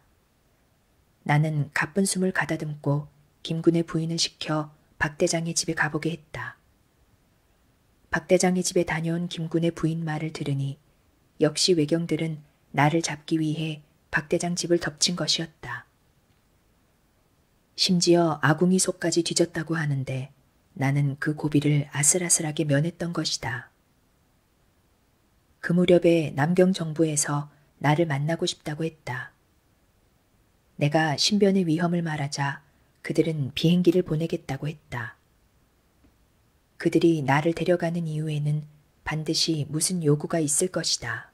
나는 가쁜 숨을 가다듬고 김군의 부인을 시켜 박 대장의 집에 가보게 했다. 박 대장의 집에 다녀온 김군의 부인 말을 들으니 역시 외경들은 나를 잡기 위해 박대장 집을 덮친 것이었다. 심지어 아궁이 속까지 뒤졌다고 하는데 나는 그 고비를 아슬아슬하게 면했던 것이다. 그 무렵에 남경 정부에서 나를 만나고 싶다고 했다. 내가 신변의 위험을 말하자 그들은 비행기를 보내겠다고 했다. 그들이 나를 데려가는 이유에는 반드시 무슨 요구가 있을 것이다.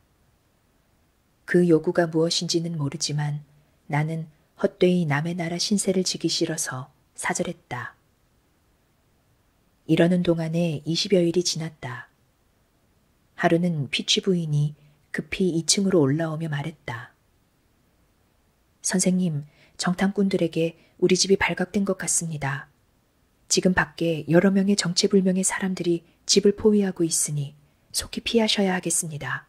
그 요구가 무엇인지는 모르지만 나는 헛되이 남의 나라 신세를 지기 싫어서 사절했다. 이러는 동안에 20여일이 지났다. 하루는 피치 부인이 급히 2층으로 올라오며 말했다. 선생님, 정탐꾼들에게 우리 집이 발각된 것 같습니다. 지금 밖에 여러 명의 정체불명의 사람들이 집을 포위하고 있으니 속히 피하셔야 하겠습니다.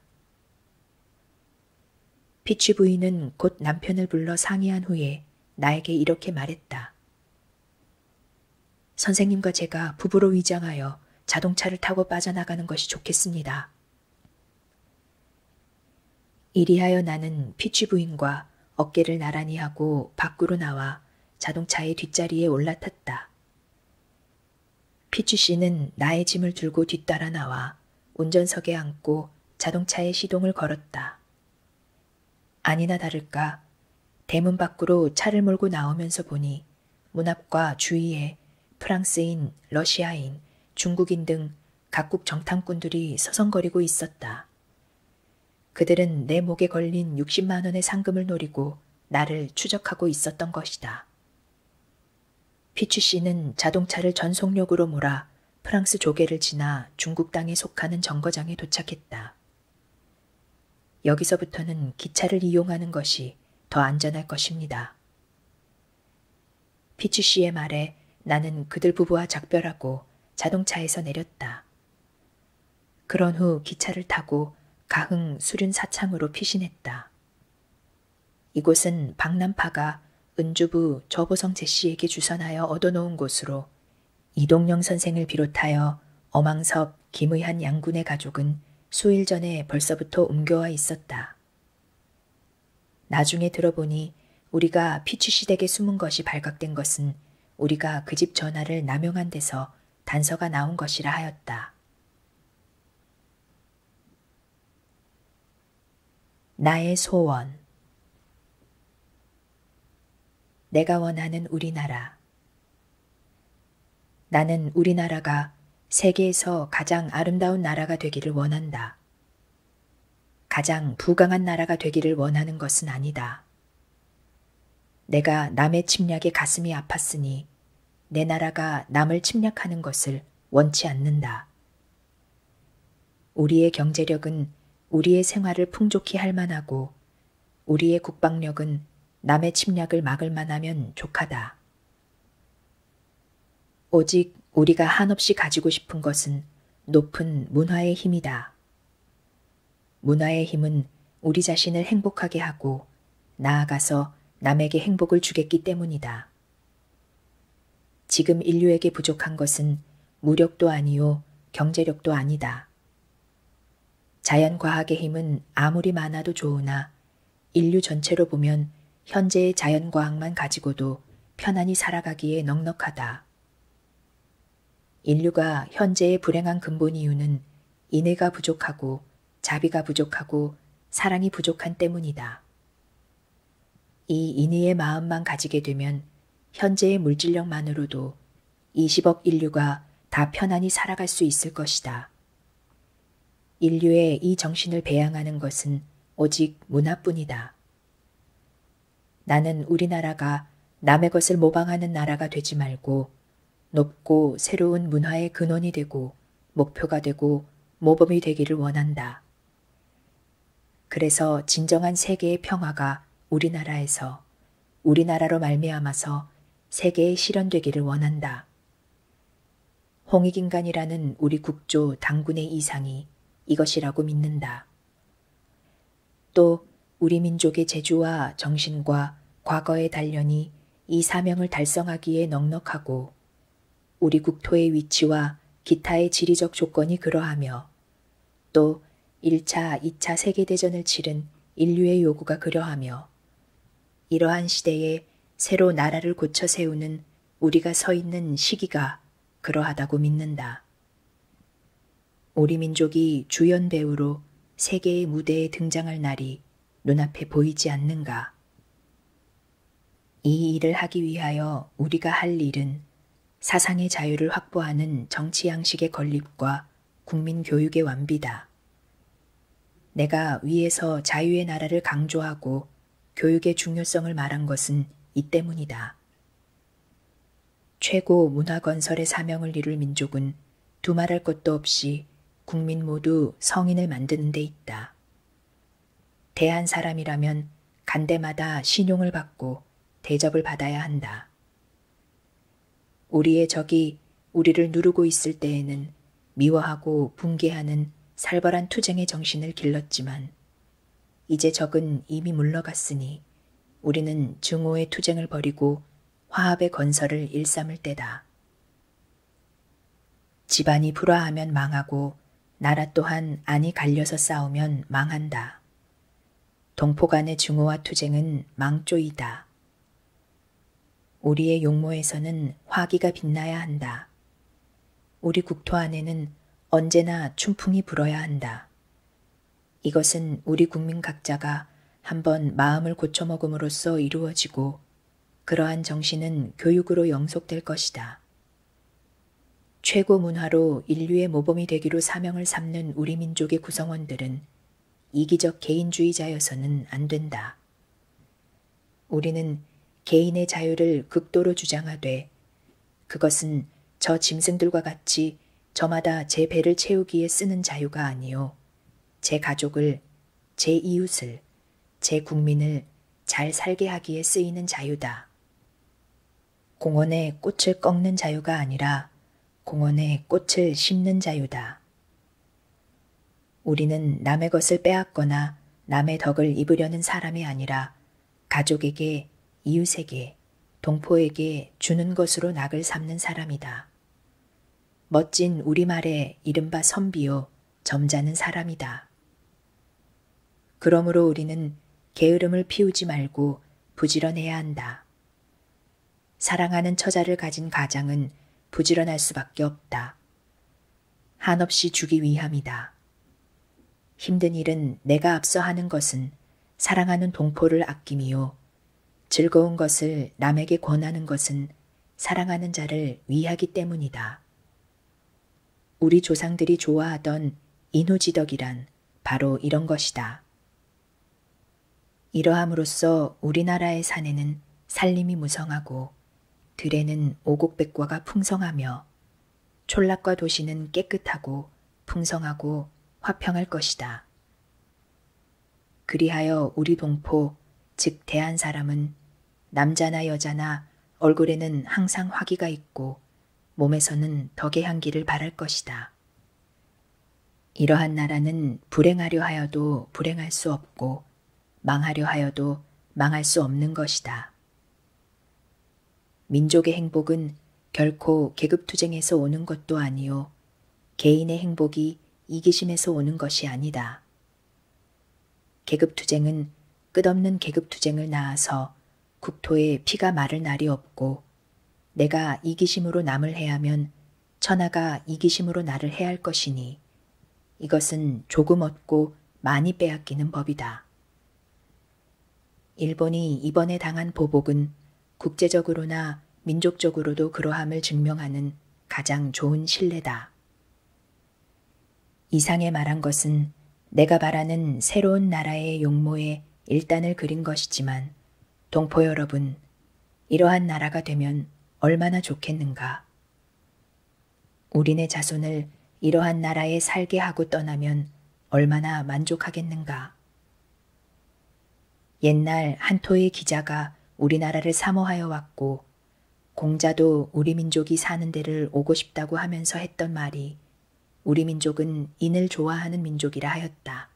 피치 부인은 곧 남편을 불러 상의한 후에 나에게 이렇게 말했다. 선생님과 제가 부부로 위장하여 자동차를 타고 빠져나가는 것이 좋겠습니다. 이리하여 나는 피치 부인과 어깨를 나란히 하고 밖으로 나와 자동차의 뒷자리에 올라탔다. 피치 씨는 나의 짐을 들고 뒤따라 나와 운전석에 앉고 자동차의 시동을 걸었다. 아니나 다를까 대문 밖으로 차를 몰고 나오면서 보니 문 앞과 주위에 프랑스인, 러시아인, 중국인 등 각국 정탐꾼들이 서성거리고 있었다. 그들은 내 목에 걸린 60만 원의 상금을 노리고 나를 추적하고 있었던 것이다. 피치 씨는 자동차를 전속력으로 몰아 프랑스 조개를 지나 중국 땅에 속하는 정거장에 도착했다. 여기서부터는 기차를 이용하는 것이 더 안전할 것입니다. 피치 씨의 말에 나는 그들 부부와 작별하고 자동차에서 내렸다. 그런 후 기차를 타고 가흥 수륜 사창으로 피신했다. 이곳은 박남파가 은주부 저보성 제씨에게 주선하여 얻어놓은 곳으로 이동영 선생을 비롯하여 어망섭, 김의한 양군의 가족은 수일 전에 벌써부터 옮겨와 있었다. 나중에 들어보니 우리가 피치시댁에 숨은 것이 발각된 것은 우리가 그 집 전화를 남용한 데서 단서가 나온 것이라 하였다. 나의 소원 내가 원하는 우리나라 나는 우리나라가 세계에서 가장 아름다운 나라가 되기를 원한다. 가장 부강한 나라가 되기를 원하는 것은 아니다. 내가 남의 침략에 가슴이 아팠으니 내 나라가 남을 침략하는 것을 원치 않는다. 우리의 경제력은 우리의 생활을 풍족히 할 만하고 우리의 국방력은 남의 침략을 막을 만하면 족하다. 오직 우리가 한없이 가지고 싶은 것은 높은 문화의 힘이다. 문화의 힘은 우리 자신을 행복하게 하고 나아가서 남에게 행복을 주겠기 때문이다. 지금 인류에게 부족한 것은 무력도 아니요 경제력도 아니다. 자연과학의 힘은 아무리 많아도 좋으나 인류 전체로 보면 현재의 자연과학만 가지고도 편안히 살아가기에 넉넉하다. 인류가 현재의 불행한 근본 이유는 인애가 부족하고 자비가 부족하고 사랑이 부족한 때문이다. 이 인의의 마음만 가지게 되면 현재의 물질력만으로도 20억 인류가 다 편안히 살아갈 수 있을 것이다. 인류의 이 정신을 배양하는 것은 오직 문화뿐이다. 나는 우리나라가 남의 것을 모방하는 나라가 되지 말고 높고 새로운 문화의 근원이 되고 목표가 되고 모범이 되기를 원한다. 그래서 진정한 세계의 평화가 우리나라에서 우리나라로 말미암아서 세계에 실현되기를 원한다. 홍익인간이라는 우리 국조 당군의 이상이 이것이라고 믿는다. 또 우리 민족의 재주와 정신과 과거의 단련이 이 사명을 달성하기에 넉넉하고 우리 국토의 위치와 기타의 지리적 조건이 그러하며 또 1차, 2차 세계대전을 치른 인류의 요구가 그러하며 이러한 시대에 새로 나라를 고쳐 세우는 우리가 서 있는 시기가 그러하다고 믿는다. 우리 민족이 주연 배우로 세계의 무대에 등장할 날이 눈앞에 보이지 않는가? 이 일을 하기 위하여 우리가 할 일은 사상의 자유를 확보하는 정치 양식의 건립과 국민 교육의 완비다. 내가 위에서 자유의 나라를 강조하고 교육의 중요성을 말한 것은 이 때문이다. 최고 문화건설의 사명을 이룰 민족은 두말할 것도 없이 국민 모두 성인을 만드는 데 있다. 대한 사람이라면 간대마다 신용을 받고 대접을 받아야 한다. 우리의 적이 우리를 누르고 있을 때에는 미워하고 붕괴하는 살벌한 투쟁의 정신을 길렀지만 이제 적은 이미 물러갔으니 우리는 증오의 투쟁을 벌이고 화합의 건설을 일삼을 때다. 집안이 불화하면 망하고 나라 또한 안이 갈려서 싸우면 망한다. 동포 간의 증오와 투쟁은 망조이다. 우리의 용모에서는 화기가 빛나야 한다. 우리 국토 안에는 언제나 춘풍이 불어야 한다. 이것은 우리 국민 각자가 한 번 마음을 고쳐먹음으로써 이루어지고 그러한 정신은 교육으로 영속될 것이다. 최고 문화로 인류의 모범이 되기로 사명을 삼는 우리 민족의 구성원들은 이기적 개인주의자여서는 안 된다. 우리는 개인의 자유를 극도로 주장하되 그것은 저 짐승들과 같이 저마다 제 배를 채우기에 쓰는 자유가 아니요. 제 가족을, 제 이웃을, 제 국민을 잘 살게 하기에 쓰이는 자유다. 공원에 꽃을 꺾는 자유가 아니라 공원에 꽃을 심는 자유다. 우리는 남의 것을 빼앗거나 남의 덕을 입으려는 사람이 아니라 가족에게, 이웃에게, 동포에게 주는 것으로 낙을 삼는 사람이다. 멋진 우리말의 이른바 선비요, 점잖은 사람이다. 그러므로 우리는 게으름을 피우지 말고 부지런해야 한다. 사랑하는 처자를 가진 가장은 부지런할 수밖에 없다. 한없이 주기 위함이다. 힘든 일은 내가 앞서 하는 것은 사랑하는 동포를 아낌이요. 즐거운 것을 남에게 권하는 것은 사랑하는 자를 위하기 때문이다. 우리 조상들이 좋아하던 인호지덕이란 바로 이런 것이다. 이러함으로써 우리나라의 산에는 산림이 무성하고 들에는 오곡백과가 풍성하며 촌락과 도시는 깨끗하고 풍성하고 화평할 것이다. 그리하여 우리 동포, 즉 대한 사람은 남자나 여자나 얼굴에는 항상 화기가 있고 몸에서는 덕의 향기를 바랄 것이다. 이러한 나라는 불행하려 하여도 불행할 수 없고 망하려 하여도 망할 수 없는 것이다. 민족의 행복은 결코 계급투쟁에서 오는 것도 아니요 개인의 행복이 이기심에서 오는 것이 아니다. 계급투쟁은 끝없는 계급투쟁을 낳아서 국토에 피가 마를 날이 없고 내가 이기심으로 남을 해하면 천하가 이기심으로 나를 해할 것이니 이것은 조금 얻고 많이 빼앗기는 법이다. 일본이 이번에 당한 보복은 국제적으로나 민족적으로도 그러함을 증명하는 가장 좋은 신뢰다. 이상에 말한 것은 내가 바라는 새로운 나라의 용모에 일단을 그린 것이지만 동포 여러분, 이러한 나라가 되면 얼마나 좋겠는가. 우리네 자손을 이러한 나라에 살게 하고 떠나면 얼마나 만족하겠는가. 옛날 한토의 기자가 우리나라를 사모하여 왔고 공자도 우리 민족이 사는 데를 오고 싶다고 하면서 했던 말이 우리 민족은 인을 좋아하는 민족이라 하였다.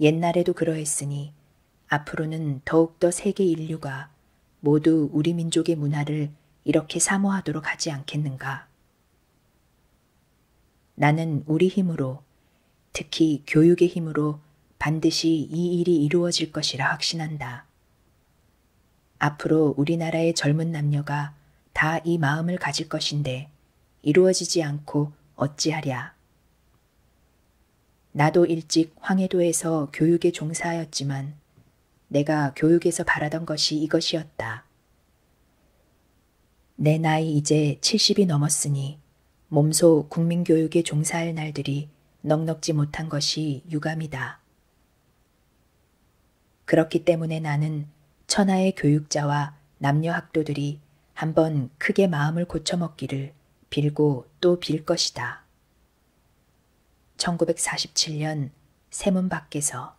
옛날에도 그러했으니 앞으로는 더욱더 세계 인류가 모두 우리 민족의 문화를 이렇게 사모하도록 하지 않겠는가. 나는 우리 힘으로 특히 교육의 힘으로 반드시 이 일이 이루어질 것이라 확신한다. 앞으로 우리나라의 젊은 남녀가 다 이 마음을 가질 것인데 이루어지지 않고 어찌하랴. 나도 일찍 황해도에서 교육에 종사하였지만 내가 교육에서 바라던 것이 이것이었다. 내 나이 이제 70이 넘었으니 몸소 국민교육에 종사할 날들이 넉넉지 못한 것이 유감이다. 그렇기 때문에 나는 천하의 교육자와 남녀 학도들이 한 번 크게 마음을 고쳐먹기를 빌고 또 빌 것이다. 1947년 세문 밖에서